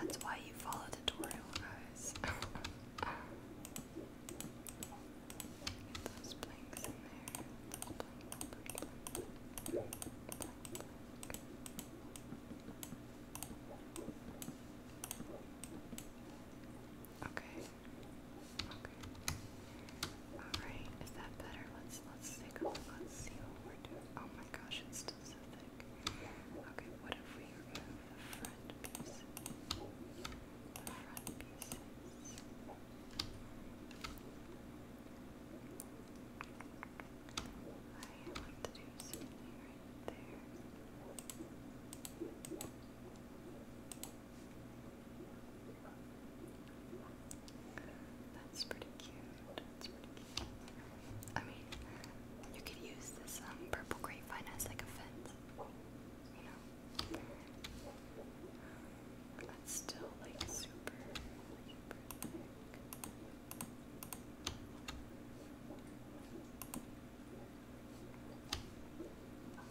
And that's why you follow the tutorial, guys. Get those blanks in there. Blank, blank, blank. Okay, Okay. Alright, is that better? Let's let's take Let's see what we're doing. Oh my gosh, it's still so thick. Okay, what if we remove the front piece? The front pieces. I want to do something right there. That's pretty cute. I mean, you could use this um, purple grapevine as like a fence. You know? That's still like super, super thick.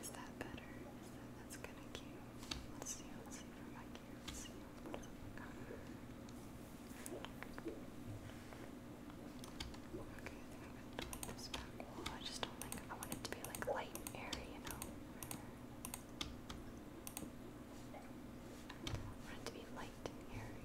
Is that better? Is that that's kind of cute? Let's see. Let's see for my cute. Let's see. What's Okay, I think I'm gonna do this back wall. I just don't like. I want it to be like light and airy, you know. I want it to be light and airy, light and airy.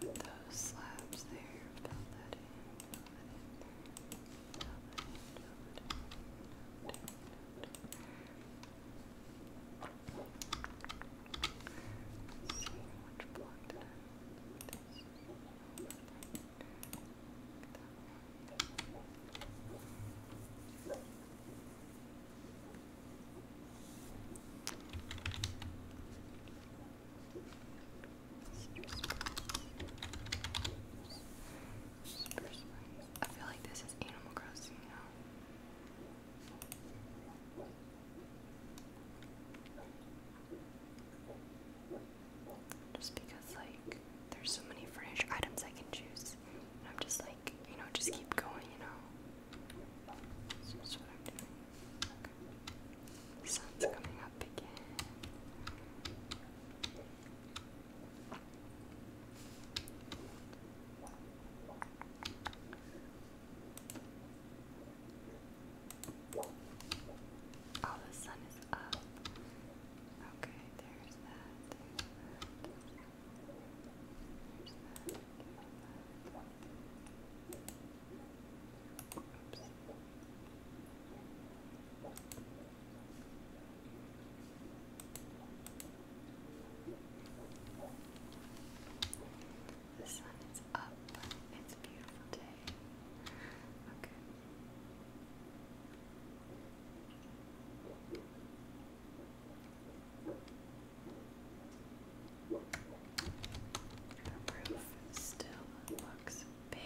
Put those slabs there, fill that in, I feel like this is Animal Crossing now. Just because, like, there's so many furniture items I can choose. And I'm just like, you know, just keep going, you know? So that's what I'm doing. Okay. The sun's coming up again. Oh, the sun is up. Okay, there's that. The sun is up. It's beautiful today today. Okay. The roof still looks big.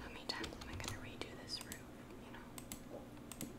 How many times am I going to redo this roof, you know?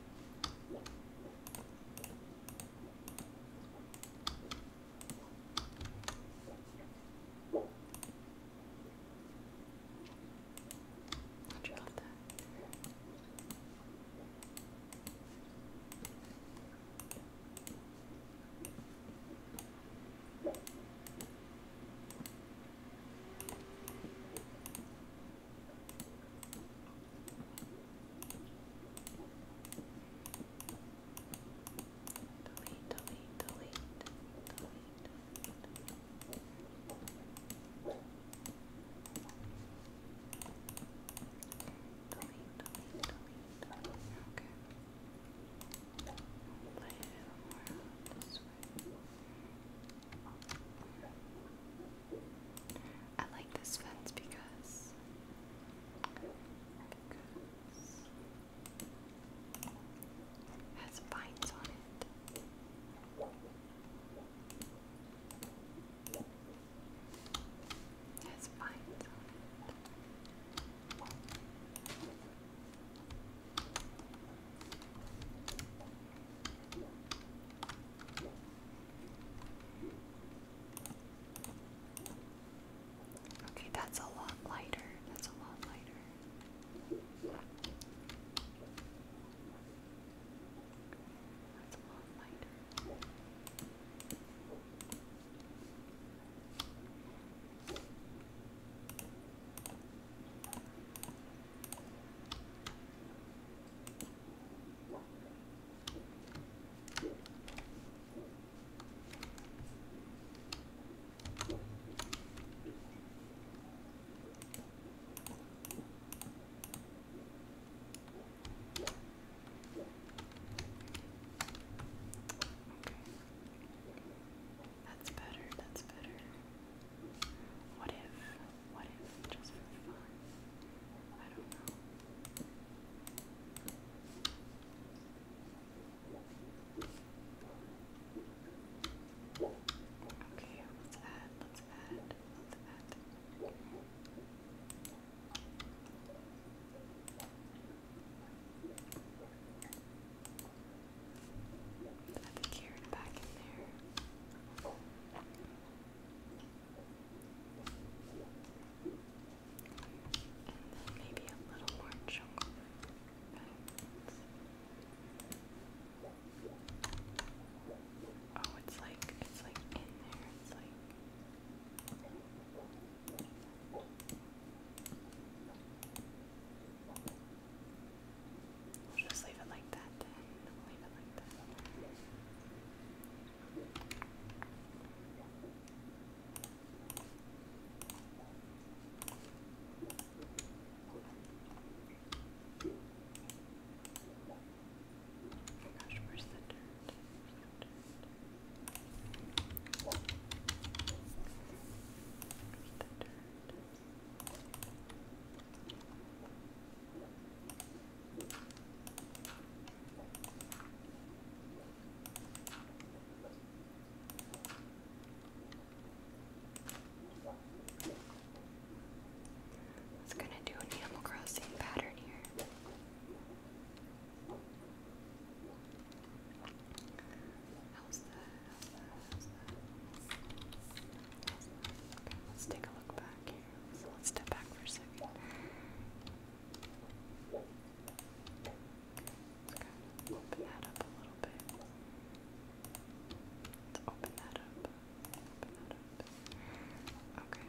I'll draw that. Delete, delete, delete, delete, delete. Delete, Okay. Lay it more I like this fence because it has vines on it. has vines Okay, that's a lot lighter. That's a lot lighter. That's a lot lighter. That's better, that's better. What if what if just for fun? I don't know. Okay, let's add, let's add, let's add. Add the carrot back in there maybe a little more jungle. Oh, it's like it's like in there. It's like. We'll just leave it like that then. Gosh, where's the dirt? Where's the dirt? Where's the dirt? Where's the dirt? It's going to do an Animal Crossing pattern here. let's take a look back here. So let's step back for a second. Okay, open that up a little bit. Let's open that up. Okay.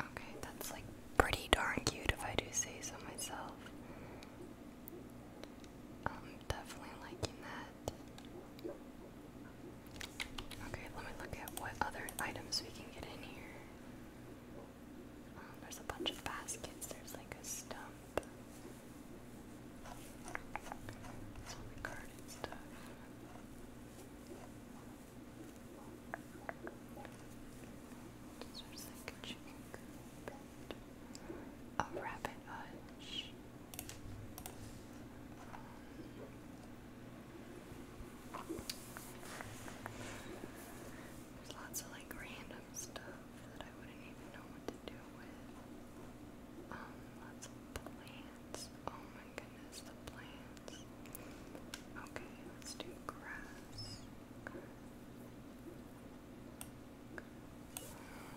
Okay, that's like pretty darn cute if I do say so myself. Um, definitely liking that. Okay, let me look at what other items we can get in here. Um, there's a bunch of baskets, there's like a stump. It's all the stuff. There's a chicken coop There's lots of like random stuff that I wouldn't even know what to do with. Um, lots of plants. Oh my goodness, the plants. Okay, let's do grass.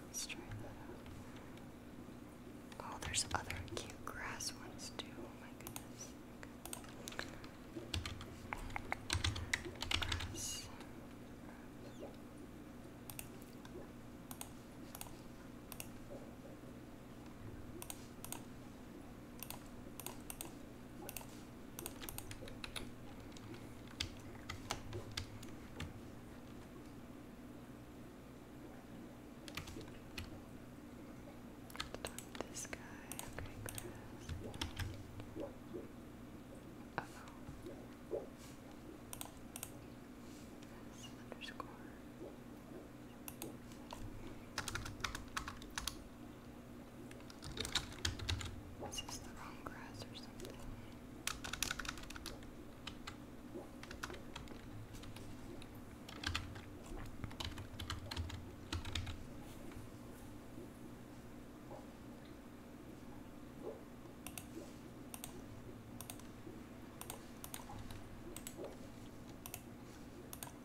Let's try that out. Oh, there's other cute grass ones too. Oh my goodness. This guy, okay, grass. Uh oh. That's underscore. Okay. Is this the wrong grass or something? I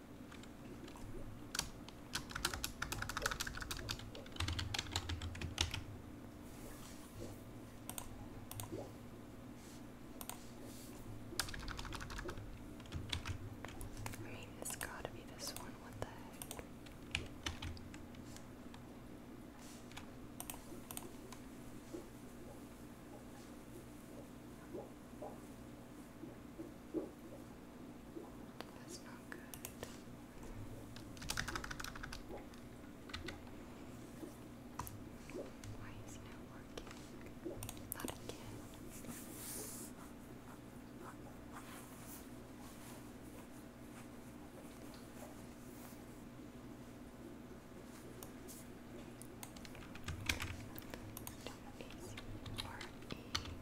mean, it's gotta be this one. What the that's not good. Why isn't working? Not again.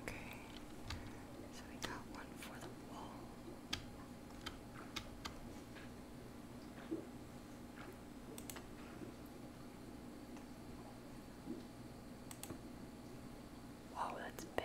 Okay, so we got one for the wall. Wow, that's big.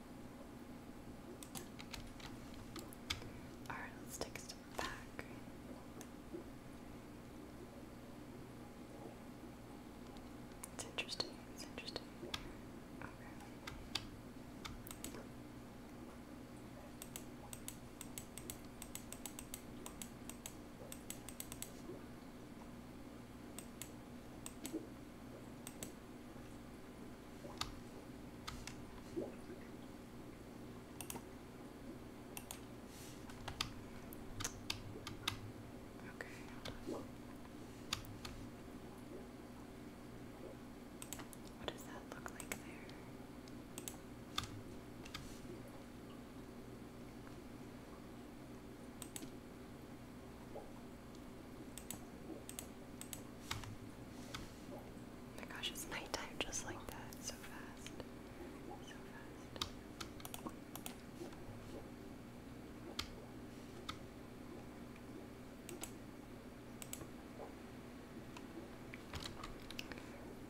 Alright, let's take a step back. It's interesting, it's interesting. Okay. Okay, hold What does that look like there? Oh my gosh, it's nighttime just like that. So fast.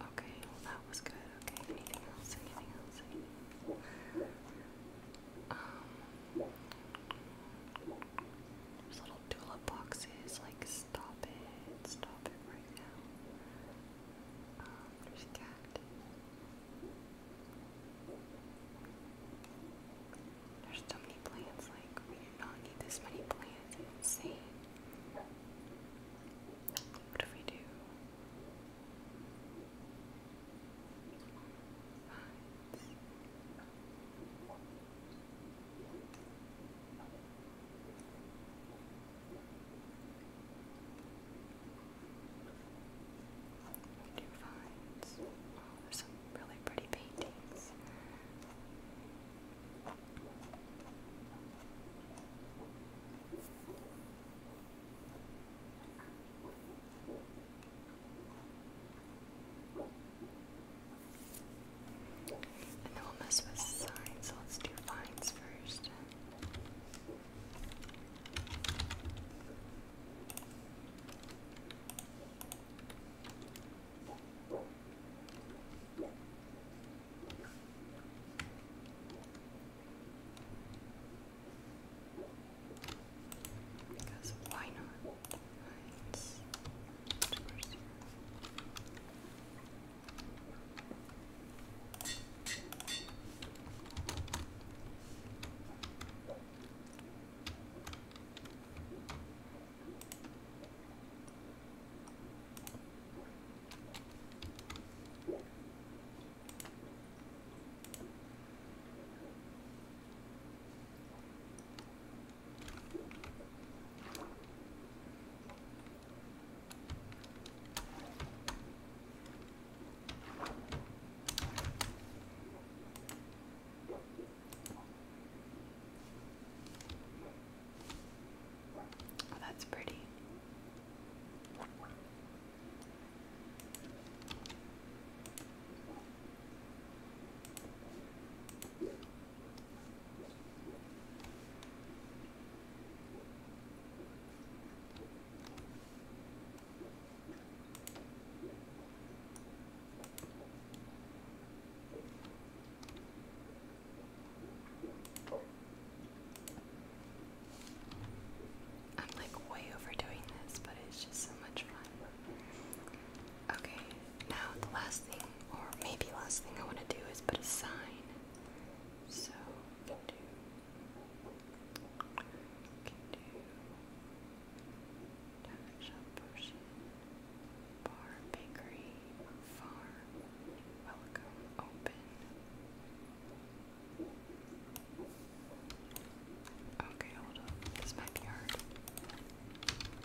Okay, well that was good. Okay, anything else? Anything else? Um, there's little tulip boxes, like stop it, stop it right now. Um, there's cactus. There's so many plants, like we do not need this many plants, insane. What if we do? We do oh, some really pretty paintings. And then we'll mess with signs, so let's do fines first. Because why not? Oh, that's pretty. I'm like way overdoing this, but it's just so much fun. Okay, now the last thing, or maybe last thing I want to do is put a sign. So, can do, can do Tavern Shop Bar, Bakery, Farm, Welcome, Open. Okay, This might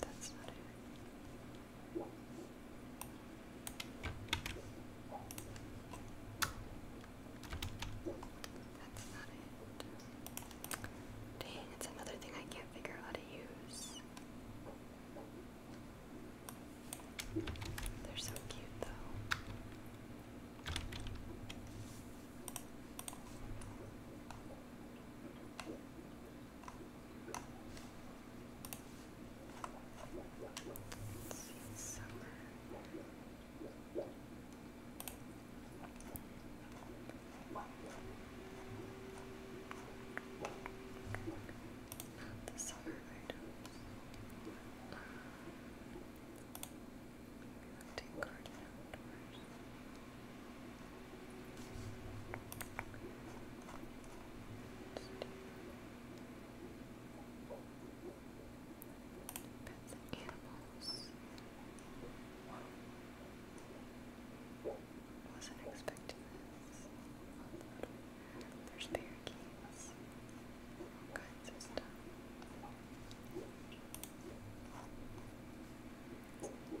That's not it. That's not it. Dang, it's another thing I can't figure out how to use. They're so cute though. Summer. Not the summer items. Uh, Maybe i take garden outdoors. Pets animals. Wasn't expecting this. There's parakeets. All kinds of stuff. Dear food.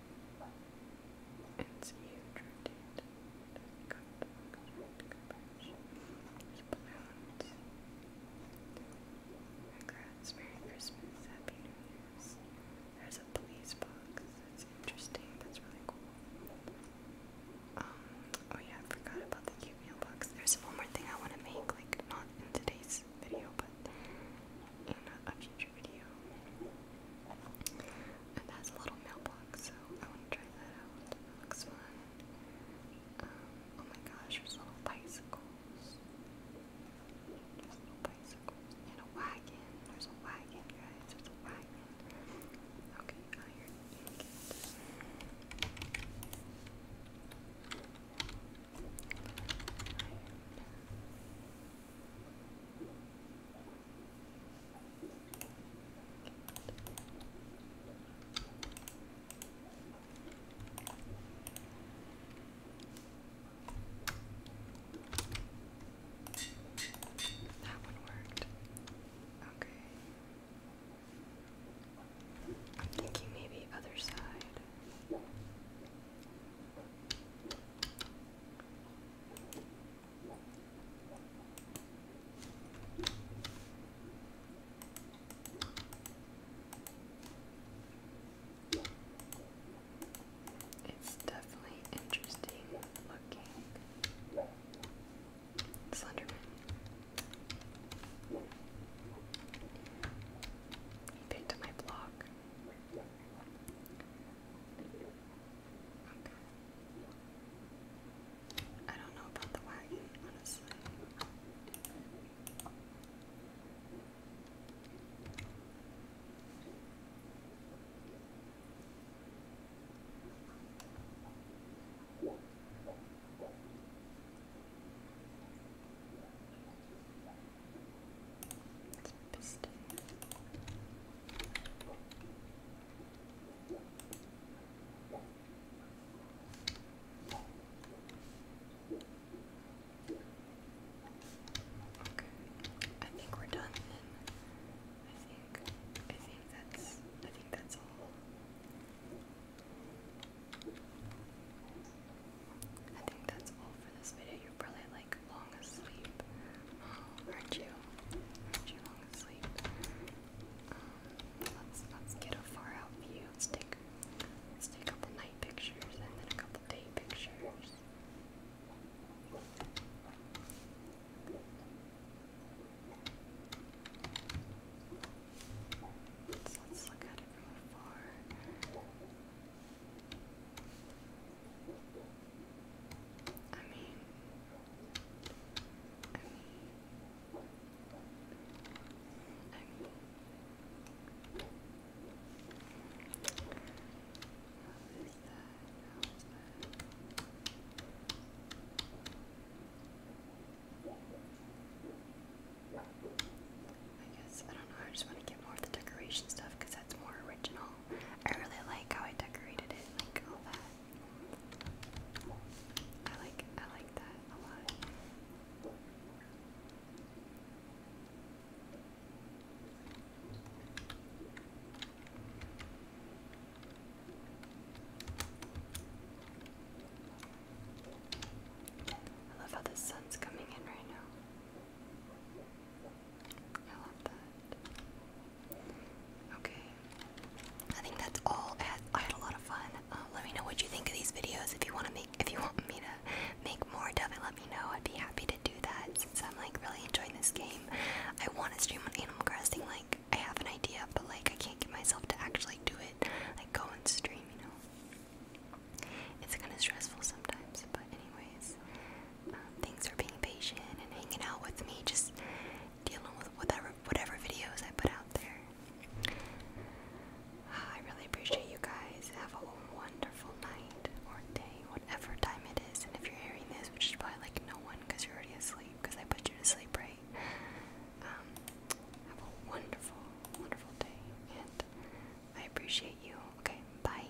It's huge, There's balloons. Merry Christmas, Happy New Year's. There's a police box. That's interesting. That's really cool. Um, oh yeah, I forgot about the cute mailbox. There's one more thing I want to make, like not in today's video, but in a, a picture video. a little mailbox, so I want to try that out. looks fun. Um, oh my gosh, there's little bicycles. There's little bicycles. And a wagon. There's a wagon, guys. There's a wagon. Okay, that one worked. Okay. I'm thinking maybe other side. It's definitely interesting looking. Slenderman. He picked my block. I don't know about the wagon, honestly. It's piston. I think we're done I think, I think that's, I think that's all. I think that's all for this video. You you like long asleep. aren't you? Aren't you long asleep? Um, let's let's get a far out view. Let's take let's take a couple night pictures and then a couple day pictures. Let's, let's look at it from afar. I mean, I mean, I guess I don't know. I just want to get more of the decoration stuff because that's more original. I really like how I decorated it, like all that. I like I like that a lot. I love how the sun's coming in right now. Okay. I think that's all. I had, a lot of fun. Uh, let me know what you think of these videos. If you want to make, if you want me to make more of it, let me know. I'd be happy to do that since I'm like really enjoying this game. I want to stream on Animal Crossing. Like I have an idea, but like I can't get myself to actually do it. Like go and stream, you know. It's kind of stressful sometimes. But anyways, Things thanks for being patient and hanging out with me, just dealing with whatever whatever videos I put out there. I really appreciate you guys. Have a wonderful night or day, whatever time it is. And if you're hearing this, which is probably like no one because you're already asleep, because I put you to sleep, right? Um, have a wonderful, wonderful day, and I appreciate you. Okay, bye.